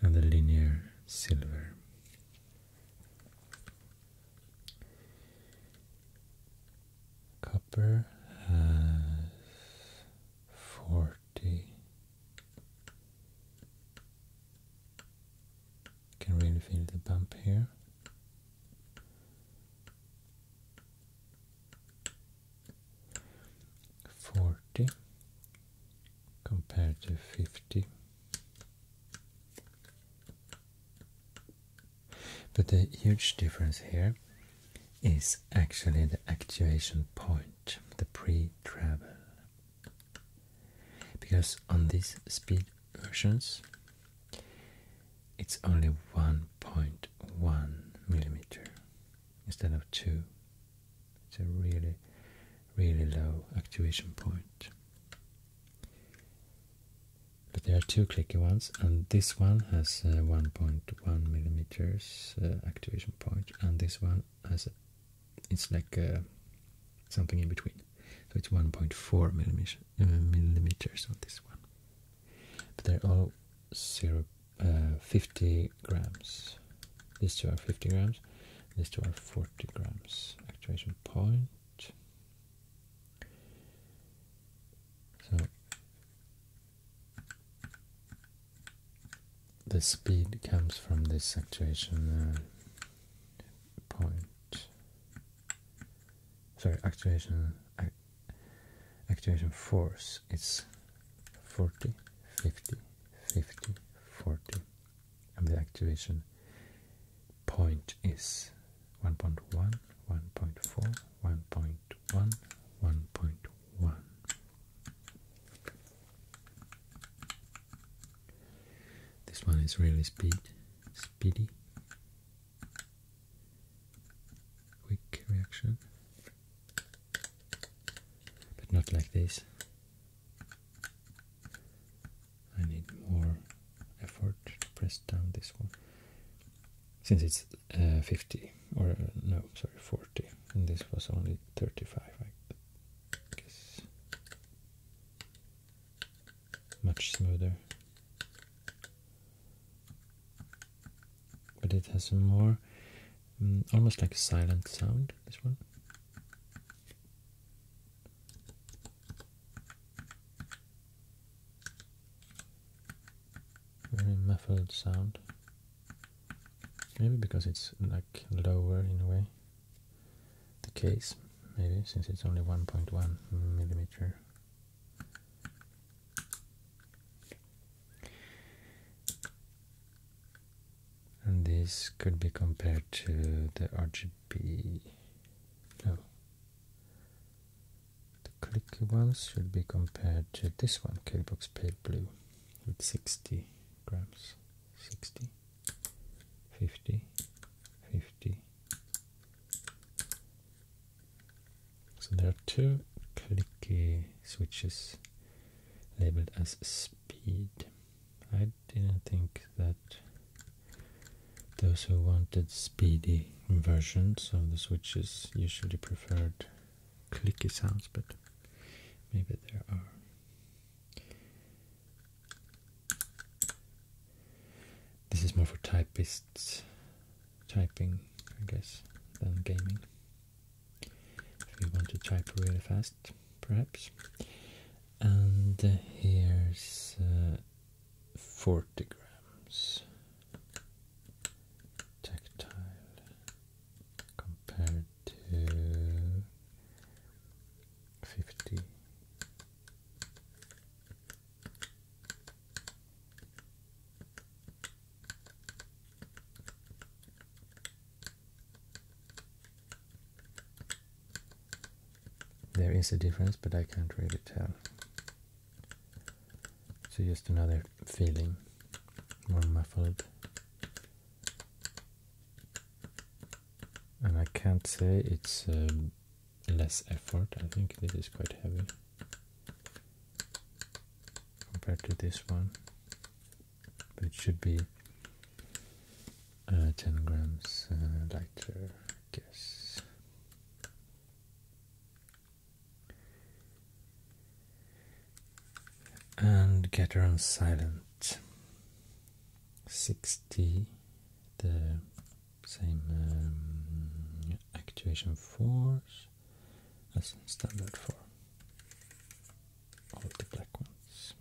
and the linear silver copper has 14 pretty. Can really feel the bump here. Forty compared to fifty. But the huge difference here is actually the actuation point, the pre travel because on these speed versions it's only 1.1 millimeter instead of 2 it's a really really low activation point but there are two clicky ones and this one has uh, 1.1 millimeters uh, activation point and this one uh, as it's like uh, something in between. So it's 1.4 uh, millimeters, on this one. But they're all zero, 50 grams. These two are 50 grams. These two are 40 grams. Actuation point. So the speed comes from this actuation uh, point. Sorry, actuation ac force It's 40, 50, 50, 40, and the actuation point is 1.1, 1.1, 1.1. This one is really speed, speedy, quick reaction, but not like this. I need more effort to press down this one since it's uh, 50 or uh, no sorry 40 and this was only 35 I guess much smoother but it has a more mm, almost like a silent sound this one very muffled sound maybe because it's like lower in a way the case, maybe, since it's only 1.1 millimeter. And this could be compared to the RGB. No. The clicky ones should be compared to this one, K box Pale Blue, with 60 grams. 60 50 50 so there are two clicky switches labeled as speed I didn't think that those who wanted speedy versions of the switches usually preferred clicky sounds but maybe there are this is more for typists, typing, I guess, than gaming. If you want to type really fast, perhaps. And uh, here's uh, 40 grams tactile compared to There is a difference, but I can't really tell. So just another feeling, more muffled and I can't say it's um, less effort I think this is quite heavy compared to this one but it should be uh, 10 grams uh, lighter I guess and get her on silent 60 the same um, actuation force as standard for all the black ones.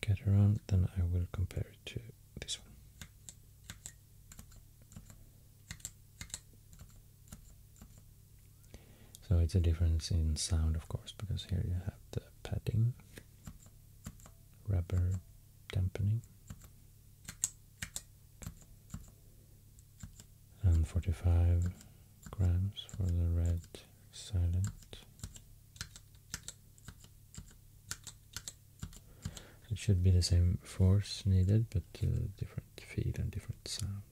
Get around, then I will compare it to this one. So it's a difference in sound, of course, because here you have the padding, rubber dampening. And 45 grams for the red silent. It should be the same force needed, but different feed and different sound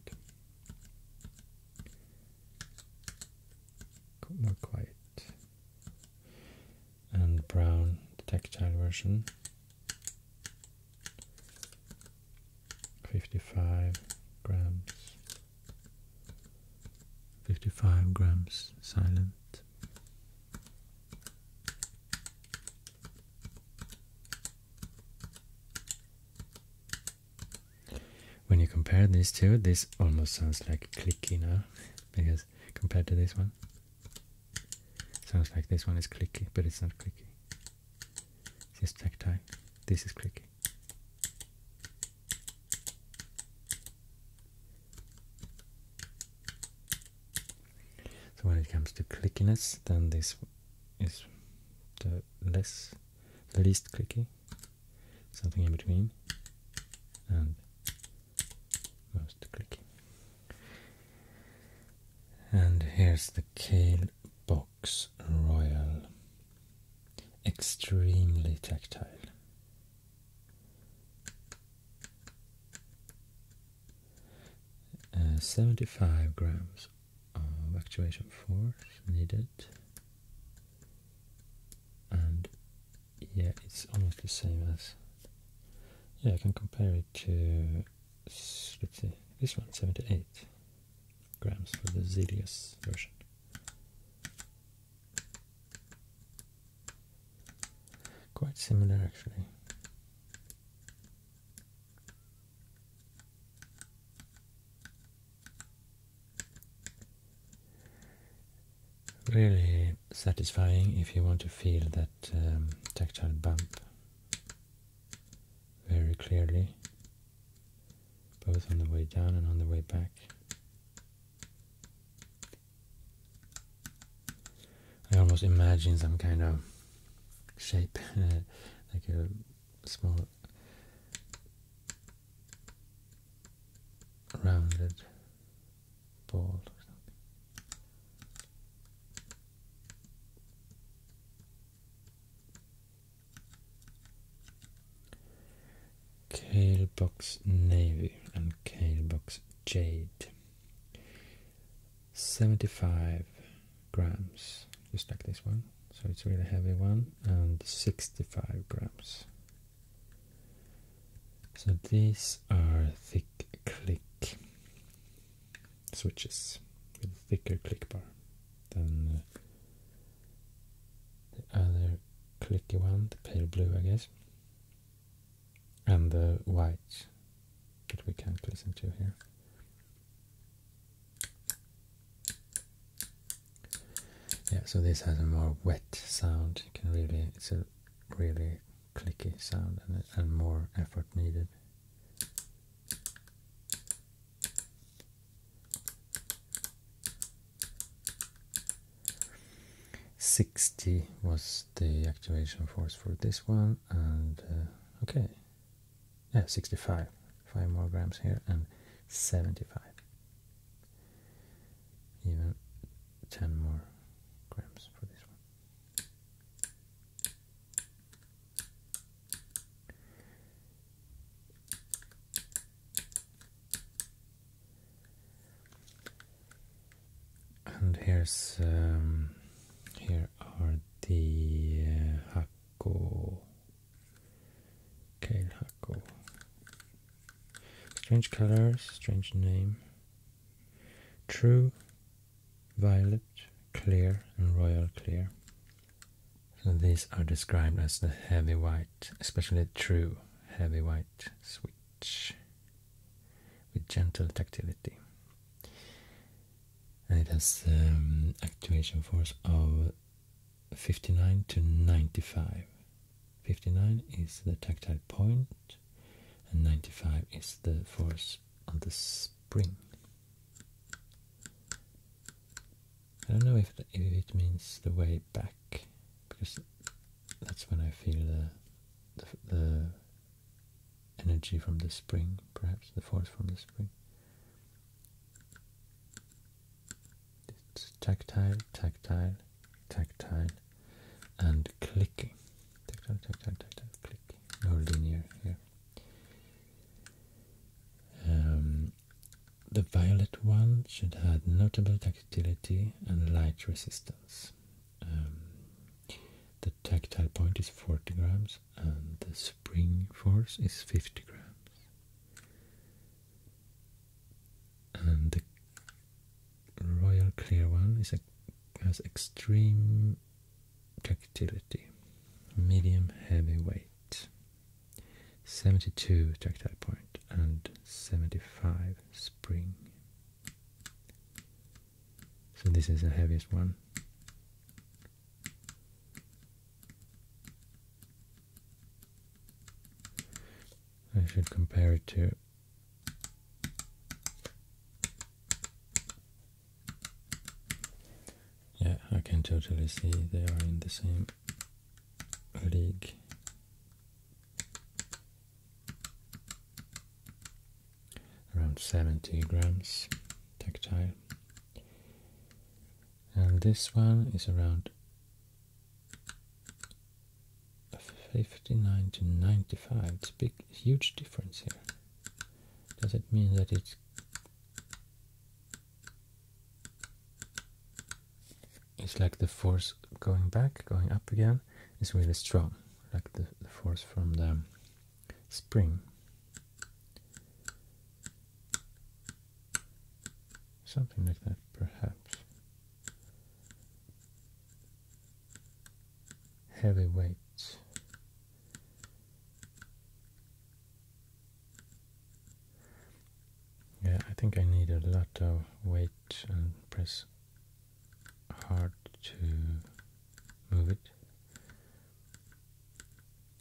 not quite. And brown the tactile version. 55 grams. 55 grams silent. When you compare these two, this almost sounds like clicky now, because compared to this one, sounds like this one is clicky, but it's not clicky. It's just tactile. This is clicky. So when it comes to clickiness, then this is the less, the least clicky something in between and mouse click. And here's the Kale Box Royal. Extremely tactile. Uh, 75 grams of actuation force needed and yeah it's almost the same as yeah I can compare it to let's see this one 78 grams for the Zelius version quite similar actually Really satisfying if you want to feel that um, tactile bump very clearly, both on the way down and on the way back. I almost imagine some kind of shape, *laughs* like a small rounded ball or something. Navy and kale box Jade. 75 grams, just like this one so it's really heavy one and 65 grams so these are thick click switches with thicker click bar than uh, the other clicky one, the pale blue I guess and the white that we can't listen to here yeah, so this has a more wet sound. You can really, it's a really clicky sound and, more effort needed. Sixty was the activation force for this one, and uh, okay, yeah, sixty-five, five more grams here, and seventy-five even 10 more grams for this one. And here's um, here are the uh, Hakko Kale Strange colors, strange name. True, violet, clear, and royal clear. So these are described as the heavy white, especially true heavy white switch with gentle tactility. And it has um, activation force of 59 to 95. 59 is the tactile point and 95 is the force on the spring. I don't know if, it means the way back because that's when I feel the, the energy from the spring, perhaps the force from the spring tactile, tactile, tactile, and clicking. Tactile, tactile, tactile, clicking. No linear here. Um, the violet one should have notable tactility and light resistance. Um, the tactile point is 40 grams and the spring force is 50 grams and the royal clear one is a, has extreme tactility, medium heavy weight, 72 tactile point and 75 spring. So this is the heaviest one. I should compare it to yeah, I can totally see they are in the same league. Around 70 grams tactile and this one is around 59 to 95 it's a big huge difference here does it mean that it's it's like the force going back going up again is really strong like the force from the spring Something like that, perhaps. Heavy weights. Yeah, I think I need a lot of weight and press hard to move it.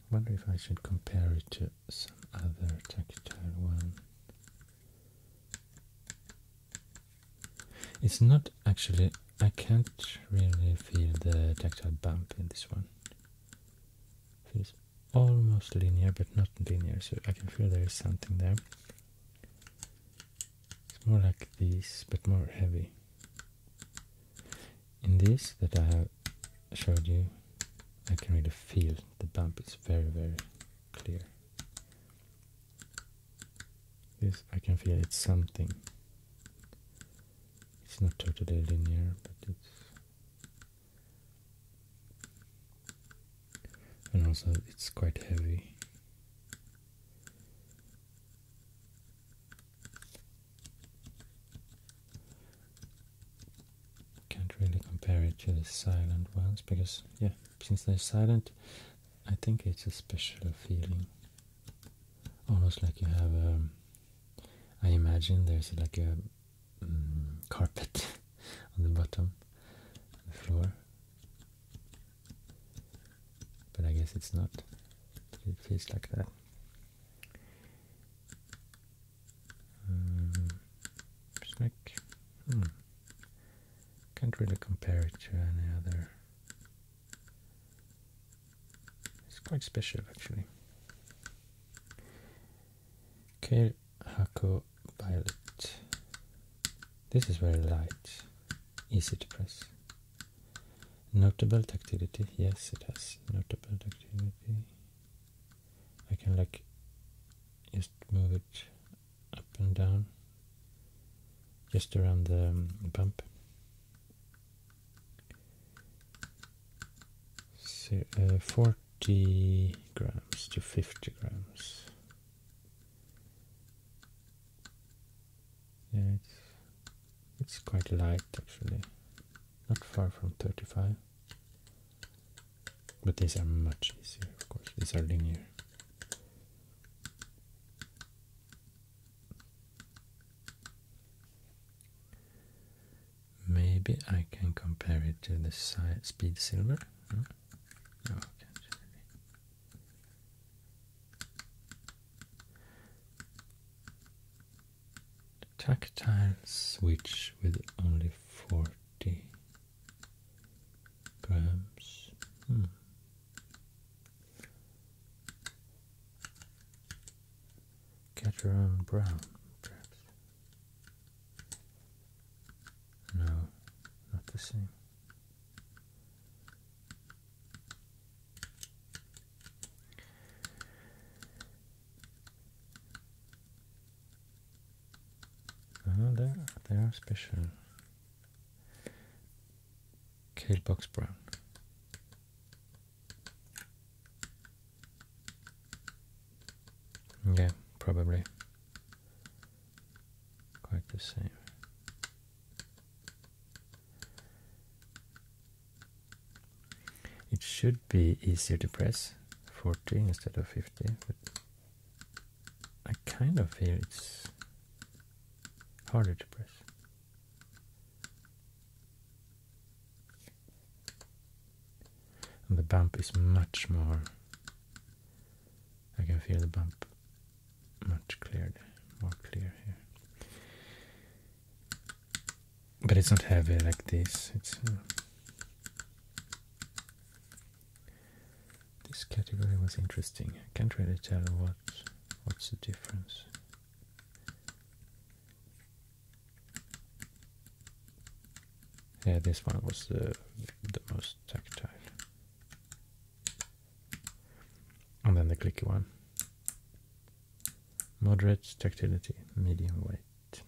Wonder if I should compare it to some other tactile one. It's not actually, I can't really feel the tactile bump in this one. It's almost linear, but not linear, so I can feel there is something there. It's more like this, but more heavy. In this that I have showed you, I can really feel the bump. It's very, very clear. This I can feel it's something. It's not totally linear, but it's and also it's quite heavy can't really compare it to the silent ones because yeah since they're silent I think it's a special feeling almost like you have a, um, I imagine there's like a mm, carpet *laughs* on the bottom of the floor but I guess it's not it feels like that um, Can't really compare it to any other. It's quite special actually. Kale Violet. This is very light, easy to press. Notable tactility, yes it has notable tactility. I can like just move it up and down just around the bump um, so, uh, 40 grams to 50 grams yeah it's, it's quite light actually not far from 35 but these are much easier, of course. These are linear. Maybe I can compare it to the speed silver. No? Tactile switch with only 40 Perhaps. Hmm. Cateron Brown, perhaps. No, not the same. Uh-huh, they are special. Kale box brown. Yeah, probably. Quite the same. It should be easier to press 40 instead of 50, but I kind of feel it's harder to press. And the bump is much more, I can feel the bump much clearer, more clear here. But it's not heavy like this, this category was interesting. I can't really tell what what's the difference. Yeah, this one was the the most tactile. And then the clicky one. Moderate tactility, medium weight.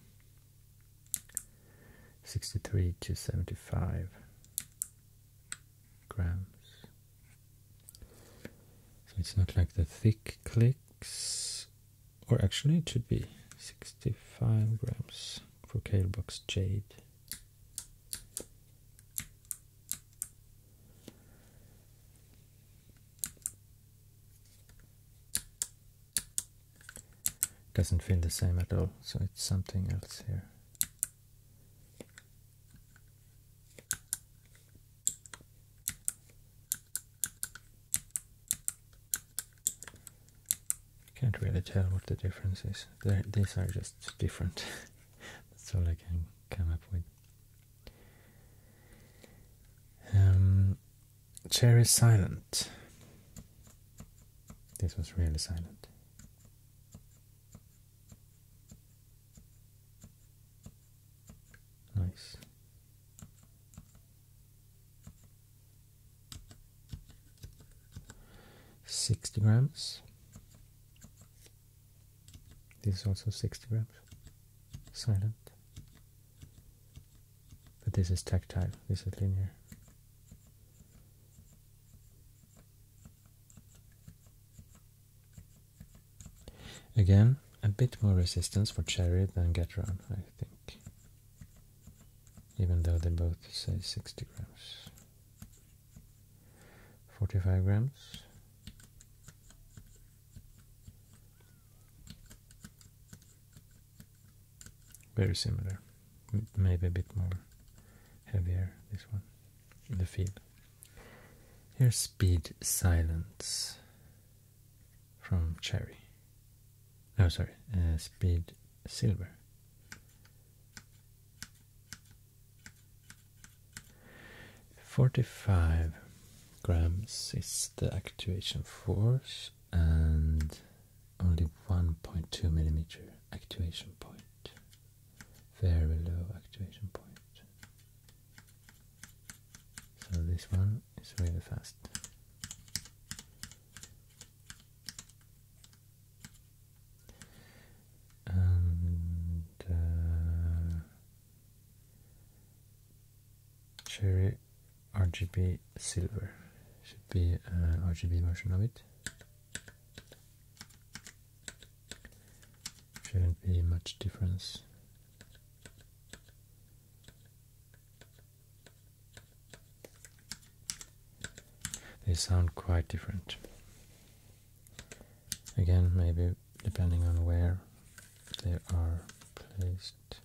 63 to 75 grams. So it's not like the thick clicks, or actually it should be 65 grams for Kalebox Jade doesn't feel the same at all so it's something else here can't really tell what the difference is they these are just different *laughs* that's all I can come up with um, Cherry Silent this was really silent. Nice. Sixty grams. This is also sixty grams. Silent. But this is tactile, this is linear. Again, a bit more resistance for cherry than Gatron, I think. Even though they both say 60 grams. 45 grams. Very similar, maybe a bit more heavier, this one, the feel. Here's Speed Silence from Cherry. No, sorry, uh, Speed Silver. Forty-five grams is the actuation force and only 1.2 millimeter actuation point. Very low actuation point. So this one is really fast. And Cherry uh, RGB Silver should be an uh, RGB version of it. Shouldn't be much difference. They sound quite different. Again, maybe depending on where they are placed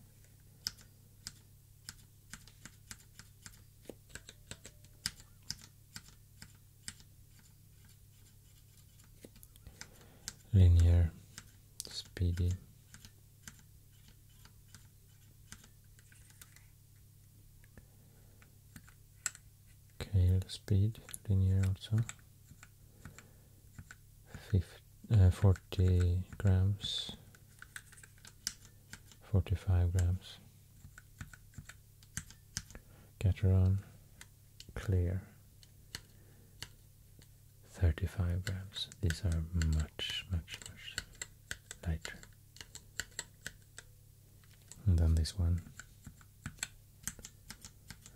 linear speedy Kale speed linear also 50, uh, 40 grams 45 grams Cateron, Clear 35 grams. These are much, much, much lighter. And then this one.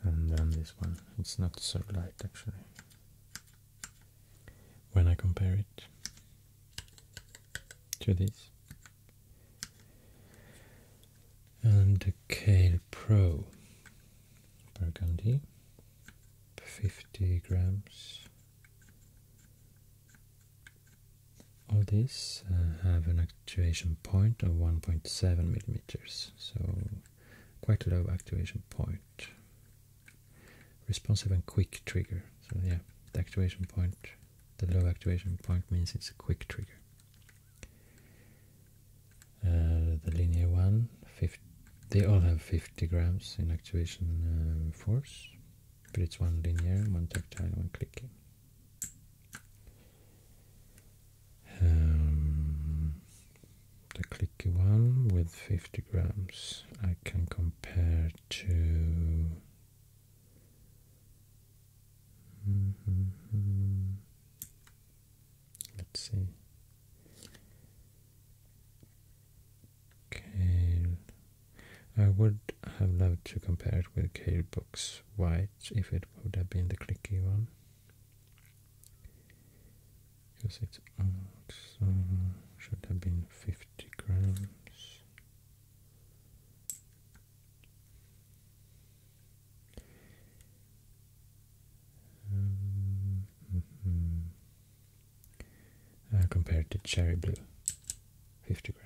And then this one. It's not so light actually. When I compare it to this and the Kale Pro Burgundy, 50 grams all these uh, have an actuation point of 1.7 millimeters, so quite low actuation point. Responsive and quick trigger, so yeah, the actuation point the low activation point means it's a quick trigger. Uh, the linear one, they all have 50 grams in activation um, force, but it's one linear, one tactile, one clicky. Um, the clicky one with 50 grams I can compare to Mm-hmm. Let's see. Kale. I would have loved to compare it with Kale Books White if it would have been the clicky one. Because it should have been 50 grams. Mm-hmm. Uh, compared to cherry blue, 50 grams.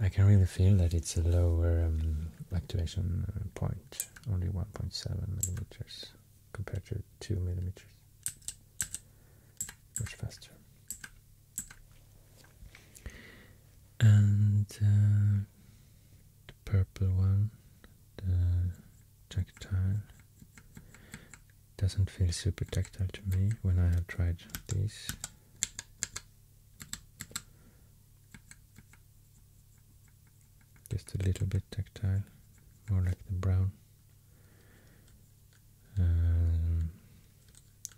I can really feel that it's a lower um, activation point, only 1.7 millimeters compared to 2 millimeters. Much faster. And uh, the purple one, the tactile, doesn't feel super tactile to me when I have tried this. Just a little bit tactile, more like the brown. Um,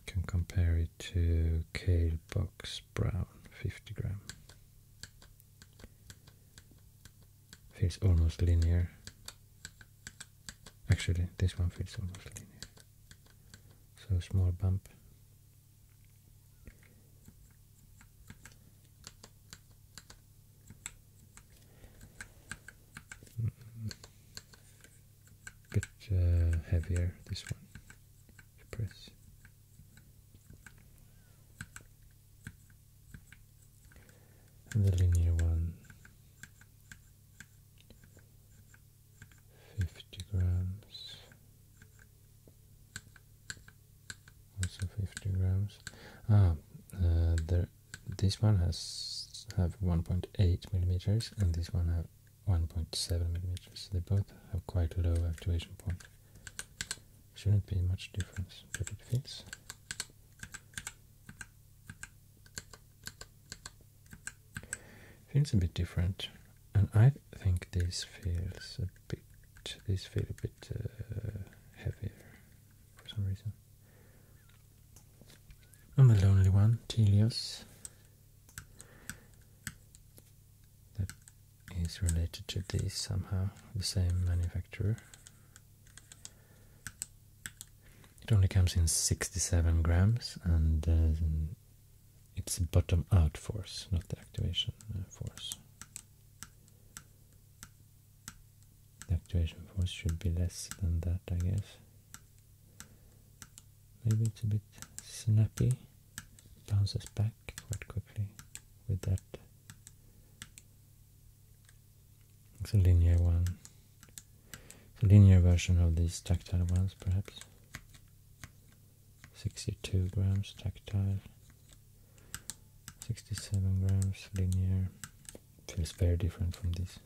can compare it to Kale Box Brown, 50 gram. Feels almost linear. Actually, this one feels almost linear. So small bump. Mm. Mm-hmm. Bit uh, heavier this one press. And the linear one. Fifty grams, also 50 grams ah uh, this one has have 1.8 millimeters and this one have 1.7 millimeters they both have quite low activation point shouldn't be much difference but it fits feels a bit different and I think this feels a bit. These feel a bit uh, heavier for some reason. I'm the lonely one, Telios, that is related to this somehow, the same manufacturer. It only comes in 67 grams and uh, it's a bottom out force, not the activation uh, force. The activation force should be less than that, I guess. Maybe it's a bit snappy. Bounces back quite quickly with that. It's a linear one. It's a linear version of these tactile ones, perhaps. 62 grams tactile 67 grams linear feels very different from this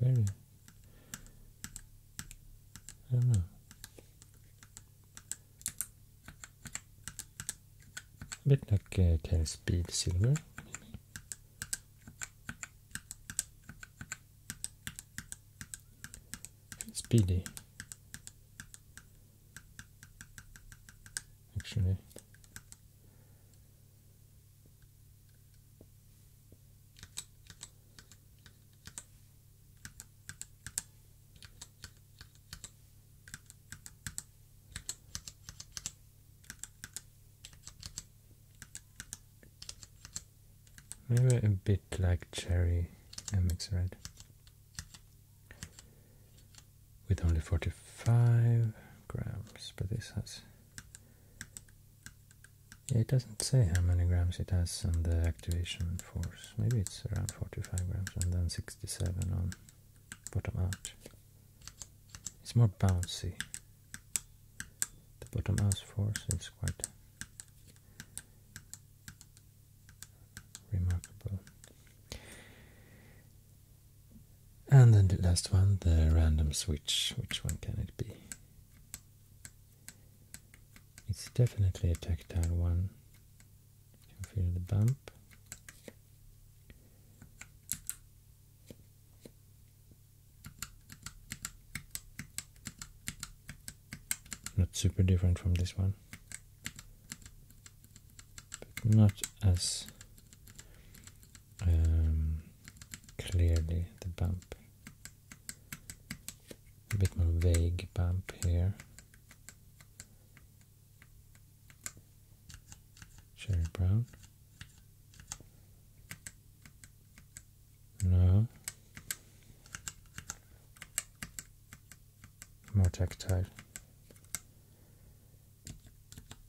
very I don't know a bit like uh, speed silver Speedy. Actually. Maybe a bit like Cherry mix Red. With only 45 grams, but this has... Yeah, it doesn't say how many grams it has on the activation force. Maybe it's around 45 grams and then 67 on bottom out. It's more bouncy the bottom has four, so it's quite remarkable. And then the last one, the random switch. Which one can it be? It's definitely a tactile one. feel the bump. Not super different from this one, but not as um, clearly the bump. A bit more vague bump here. Cherry brown. No. More tactile.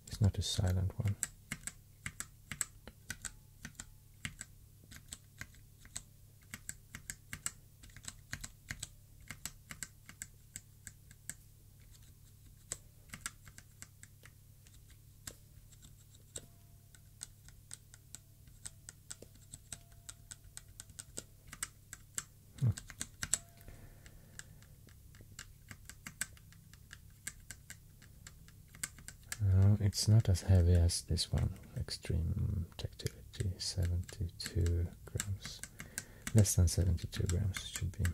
It's not a silent one it's not as heavy as this one. Extreme tactility, 72 grams. Less than 72 grams should be.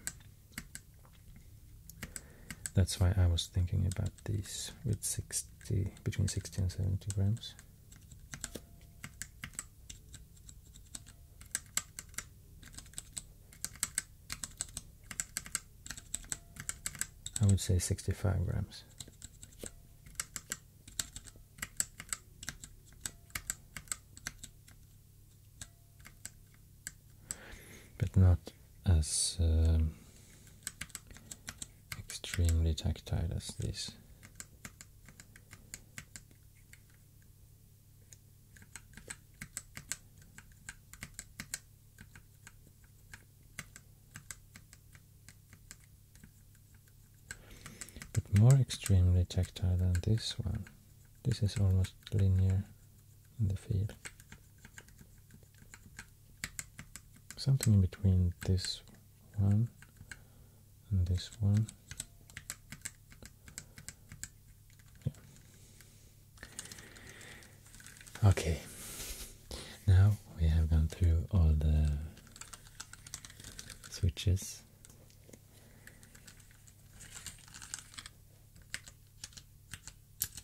That's why I was thinking about these with 60 between 60 and 70 grams. I would say 65 grams but not as um, extremely tactile as this. But more extremely tactile than this one. This is almost linear in the field. Something in between this one and this one. Okay, now we have gone through all the switches.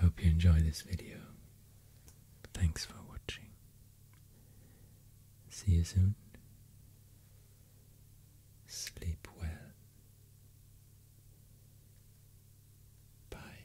Hope you enjoy this video. Thanks for watching. See you soon. Sleep well. Bye.